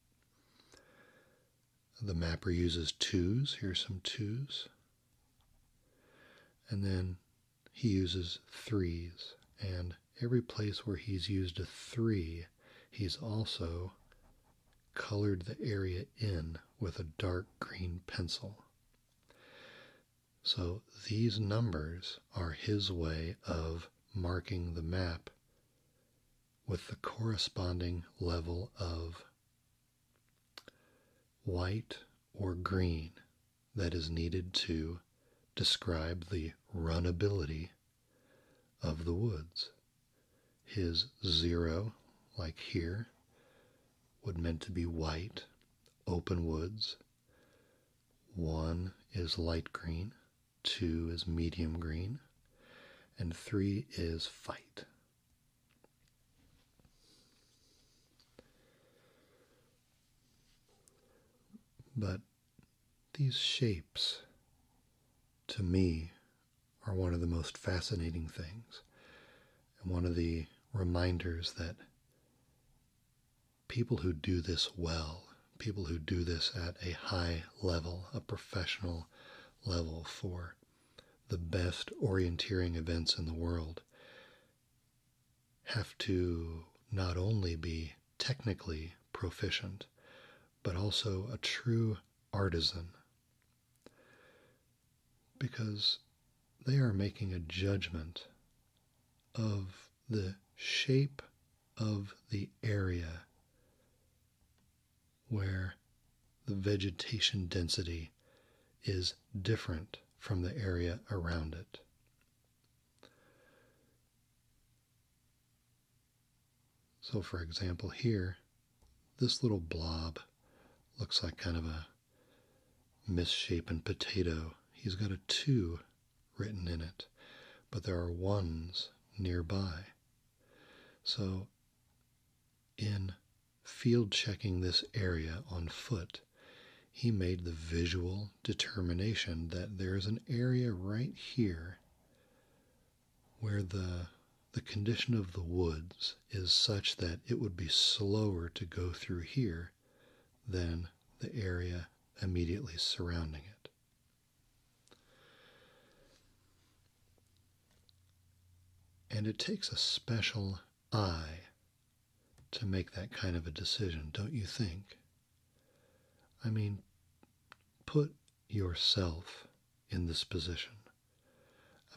The mapper uses twos. Here's some twos. And then he uses threes, and every place where he's used a three, he's also colored the area in with a dark green pencil. So these numbers are his way of marking the map with the corresponding level of White or green that is needed to describe the runnability of the woods. His zero, like here, would meant to be white, open woods. One is light green, two is medium green, and three is fight. But these shapes, to me, are one of the most fascinating things, and one of the reminders that people who do this well, people who do this at a high level, a professional level for the best orienteering events in the world, have to not only be technically proficient, but also a true artisan. Because they are making a judgment of the shape of the area where the vegetation density is different from the area around it. So, for example, here, this little blob looks like kind of a misshapen potato. He's got a 2 written in it, but there are ones nearby. So, in Field checking this area on foot, he made the visual determination that there is an area right here where the the condition of the woods is such that it would be slower to go through here than the area immediately surrounding it. And it takes a special I to make that kind of a decision, don't you think? I mean, put yourself in this position.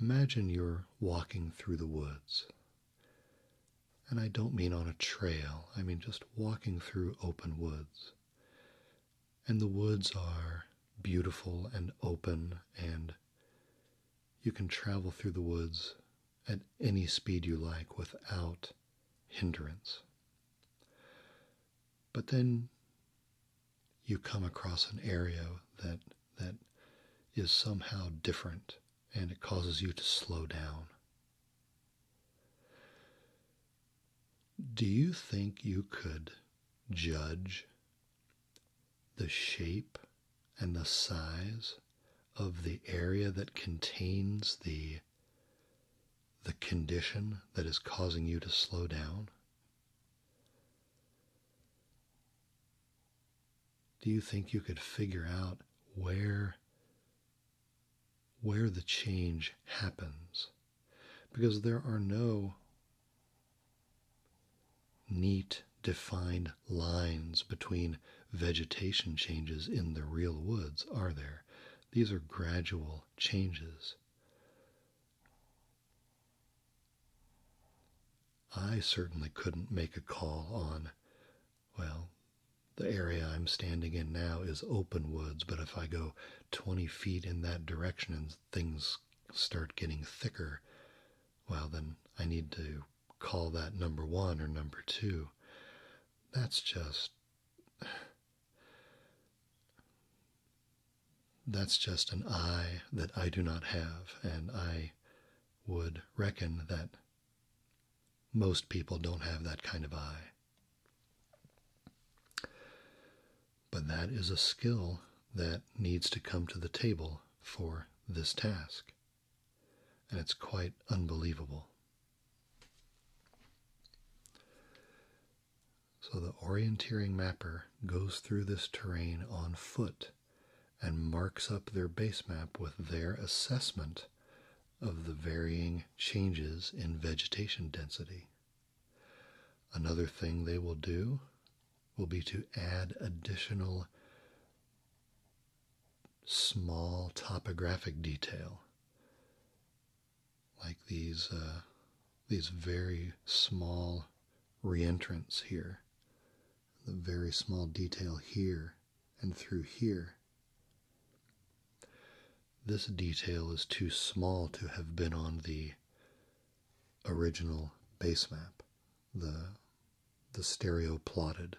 Imagine you're walking through the woods. And I don't mean on a trail, I mean just walking through open woods. And the woods are beautiful and open, and you can travel through the woods at any speed you like without hindrance. But then you come across an area that that is somehow different and it causes you to slow down. Do you think you could judge the shape and the size of the area that contains the the condition that is causing you to slow down? Do you think you could figure out where where the change happens? Because there are no neat, defined lines between vegetation changes in the real woods, are there? These are gradual changes. I certainly couldn't make a call on, well, the area I'm standing in now is open woods, but if I go 20 feet in that direction and things start getting thicker, well, then I need to call that number one or number two. That's just. That's just an eye that I do not have, and I would reckon that most people don't have that kind of eye. But that is a skill that needs to come to the table for this task and it's quite unbelievable. So the orienteering mapper goes through this terrain on foot and marks up their base map with their assessment of the varying changes in vegetation density. Another thing they will do will be to add additional small topographic detail, like these uh, these very small reentrants here, the very small detail here and through here. This detail is too small to have been on the original base map, the the stereo plotted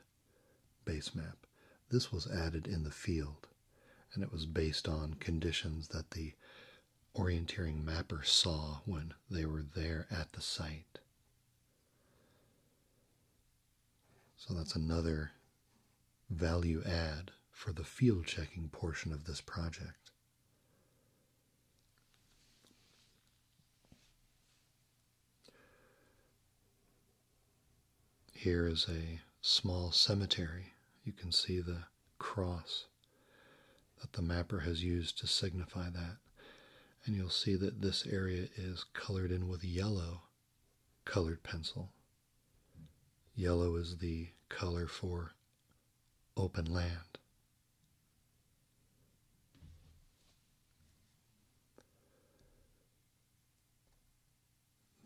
base map. This was added in the field, and it was based on conditions that the orienteering mapper saw when they were there at the site. So that's another value add for the field checking portion of this project. Here is a small cemetery. You can see the cross that the mapper has used to signify that. And you'll see that this area is colored in with yellow colored pencil. Yellow is the color for open land.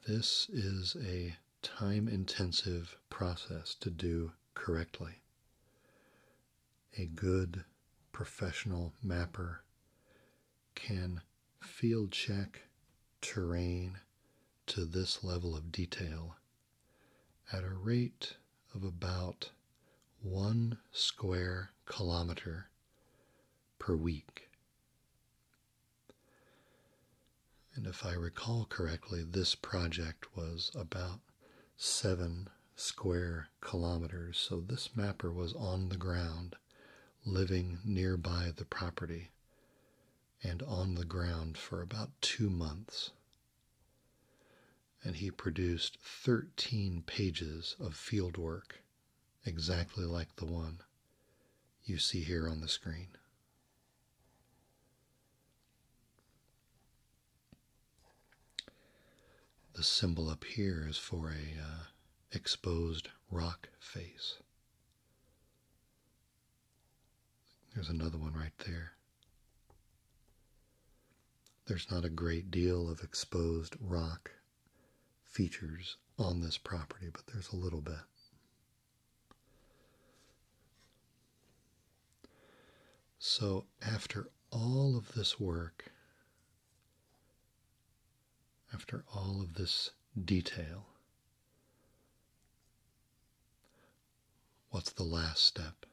This is a time intensive process to do correctly. A good professional mapper can field check terrain to this level of detail at a rate of about one square kilometer per week. And if I recall correctly, this project was about seven square kilometers, so this mapper was on the ground, living nearby the property, and on the ground for about two months and he produced 13 pages of fieldwork exactly like the one you see here on the screen. The symbol up here is for a uh, exposed rock face. There's another one right there. There's not a great deal of exposed rock features on this property, but there's a little bit. So, after all of this work, after all of this detail, what's the last step?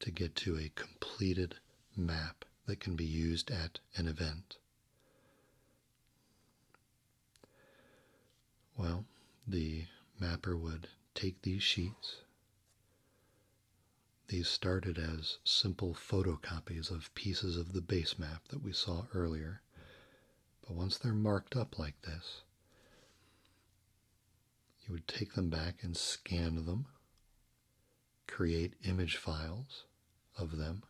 to get to a completed map that can be used at an event. Well, the mapper would take these sheets. These started as simple photocopies of pieces of the base map that we saw earlier. But once they're marked up like this, you would take them back and scan them, create image files of them,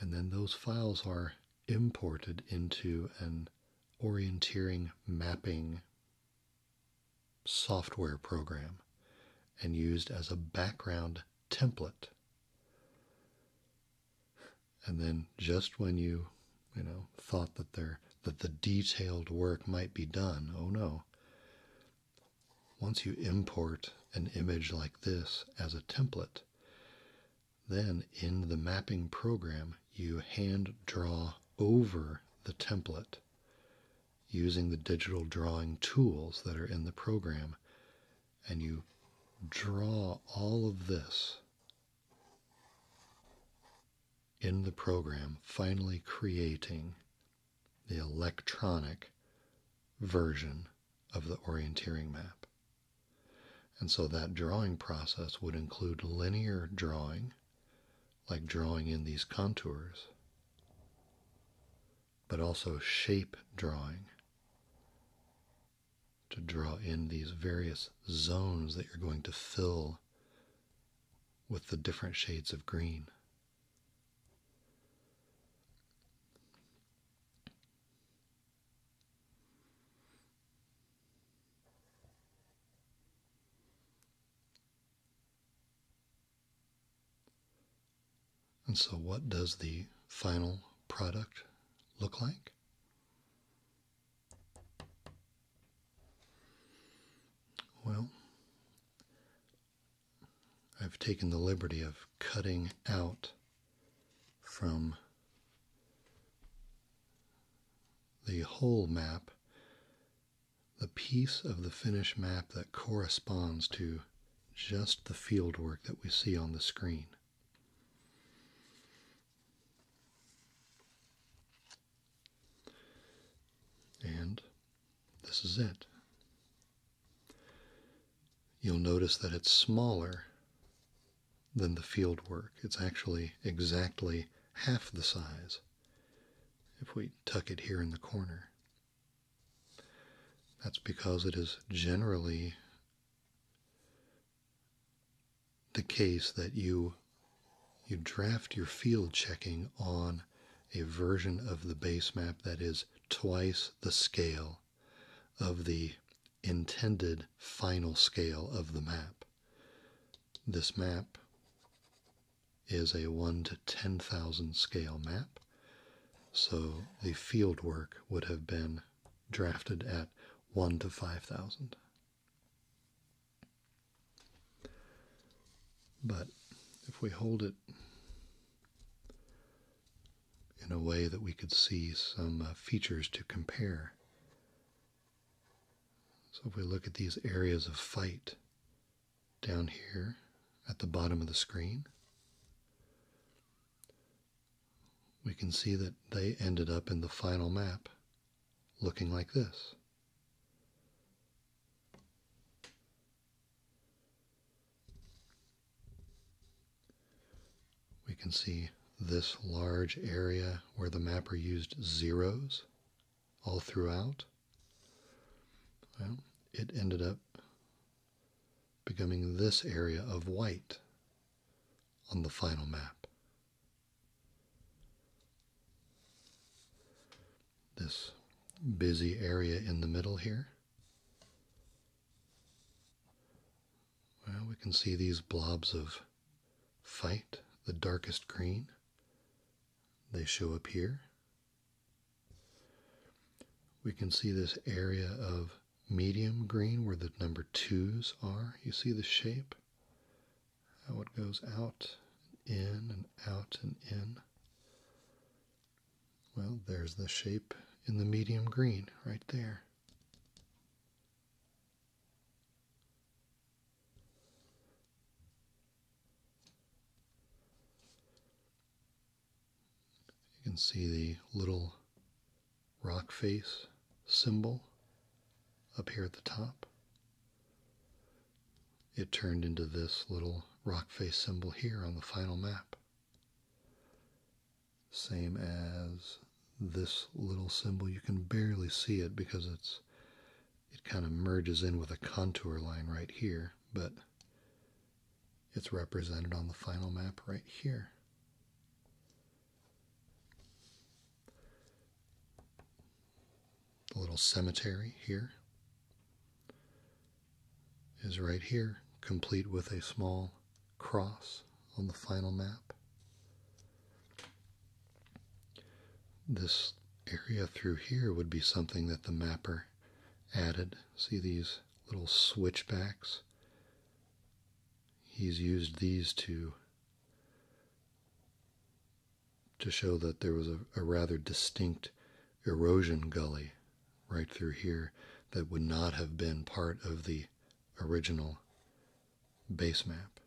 and then those files are imported into an orienteering mapping software program and used as a background template. And then, just when you you know, thought that there that the detailed work might be done. Oh no. Once you import an image like this as a template, then in the mapping program, you hand draw over the template using the digital drawing tools that are in the program, and you draw all of this in the program finally creating the electronic version of the orienteering map. And so that drawing process would include linear drawing, like drawing in these contours, but also shape drawing to draw in these various zones that you're going to fill with the different shades of green. And so, what does the final product look like? Well, I've taken the liberty of cutting out from the whole map the piece of the finished map that corresponds to just the field work that we see on the screen. And this is it. You'll notice that it's smaller than the field work. It's actually exactly half the size if we tuck it here in the corner. That's because it is generally the case that you you draft your field checking on a version of the base map that is twice the scale of the intended final scale of the map. This map is a 1 to 10,000 scale map, so the field work would have been drafted at 1 to 5,000. But if we hold it in a way that we could see some uh, features to compare. So if we look at these areas of fight down here at the bottom of the screen, we can see that they ended up in the final map looking like this. We can see this large area where the mapper used zeros all throughout. it ended up becoming this area of white on the final map. This busy area in the middle here. Well, we can see these blobs of fight, the darkest green. They show up here. We can see this area of medium green where the number twos are. You see the shape? how it goes out, in, and out, and in. Well, there's the shape in the medium green right there. You can see the little rock face symbol up here at the top. It turned into this little rock face symbol here on the final map. Same as this little symbol, you can barely see it because it's it kind of merges in with a contour line right here, but it's represented on the final map right here. The little cemetery here is right here, complete with a small cross on the final map. This area through here would be something that the mapper added. See these little switchbacks? He's used these to to show that there was a, rather distinct erosion gully right through here that would not have been part of the original base map.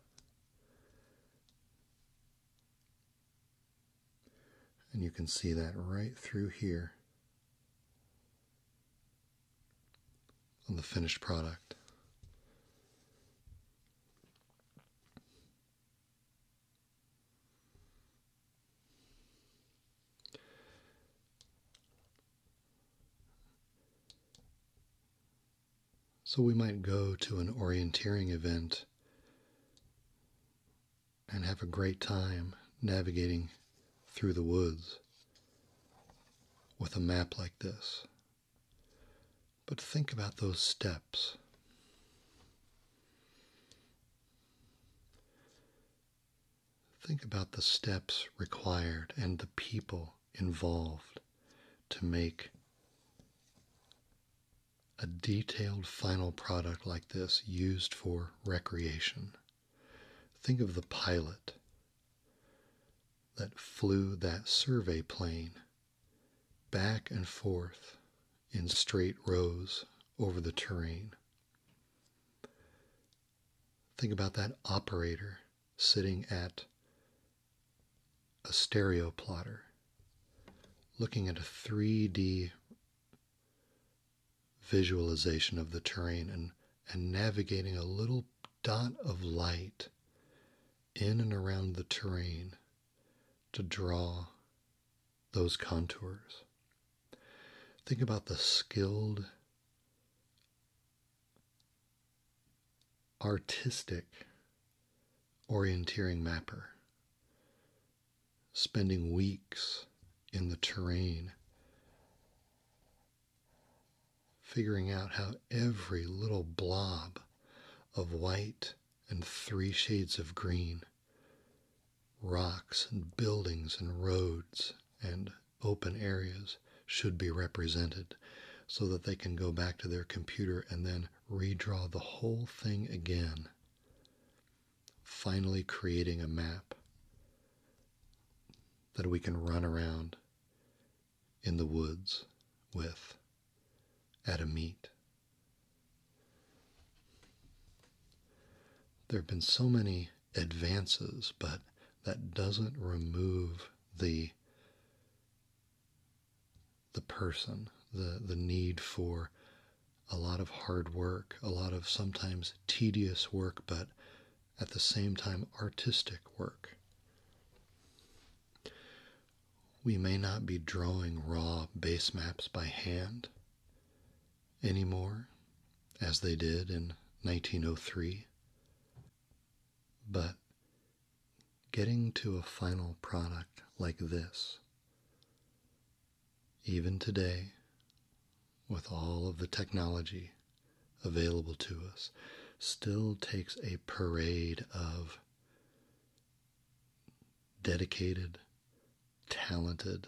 And you can see that right through here on the finished product. So we might go to an orienteering event and have a great time navigating through the woods with a map like this but think about those steps. Think about the steps required and the people involved to make a detailed final product like this used for recreation. Think of the pilot that flew that survey plane back and forth in straight rows over the terrain. Think about that operator sitting at a stereo plotter, looking at a 3D visualization of the terrain and, navigating a little dot of light in and around the terrain to draw those contours. Think about the skilled, artistic orienteering mapper spending weeks in the terrain, figuring out how every little blob of white and three shades of green, rocks and buildings and roads and open areas should be represented so that they can go back to their computer and then redraw the whole thing again, finally creating a map that we can run around in the woods with at a meet. There have been so many advances, but that doesn't remove the the person, the, the need for a lot of hard work, a lot of sometimes tedious work, but at the same time artistic work we may not be drawing raw base maps by hand anymore, as they did in 1903, but getting to a final product like this, even today, with all of the technology available to us, still takes a parade of dedicated, talented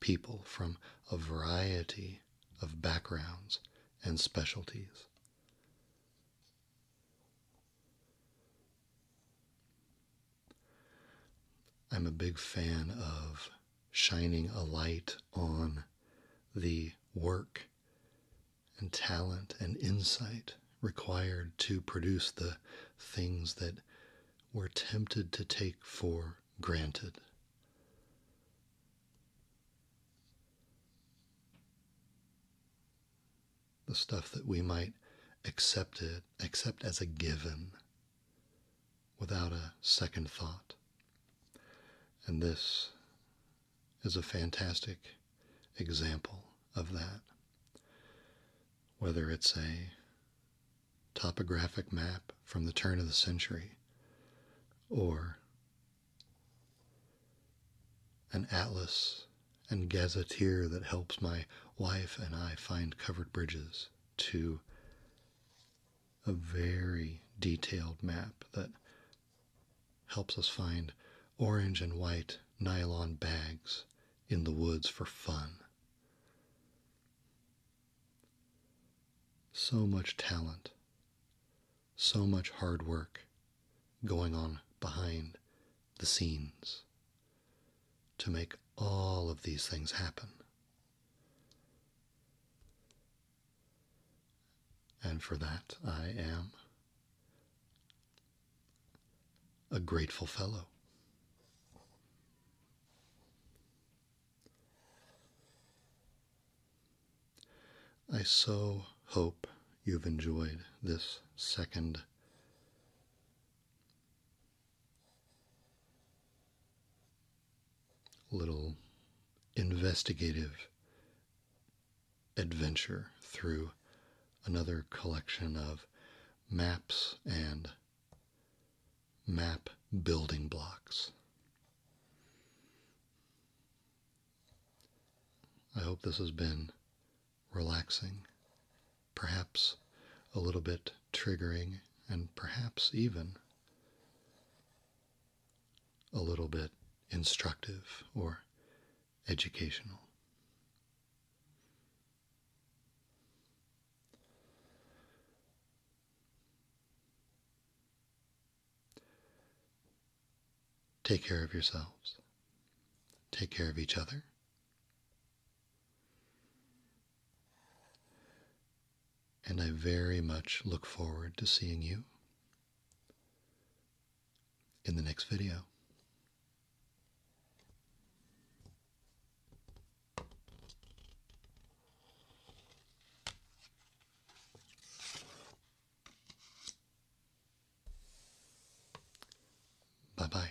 people from a variety of backgrounds and specialties. I'm a big fan of shining a light on the work and talent and insight required to produce the things that we're tempted to take for granted. The stuff that we might accept it accept as a given without a second thought. And this is a fantastic example of that. Whether it's a topographic map from the turn of the century or an atlas and gazetteer that helps my wife and I find covered bridges to a very detailed map that helps us find orange and white nylon bags in the woods for fun. So much talent, so much hard work going on behind the scenes to make all of these things happen. And for that, I am a grateful fellow. I so hope you've enjoyed this second little investigative adventure through another collection of maps and map building blocks. I hope this has been relaxing, perhaps a little bit triggering, and perhaps even a little bit instructive or educational. Take care of yourselves. Take care of each other. And I very much look forward to seeing you in the next video. Bye bye.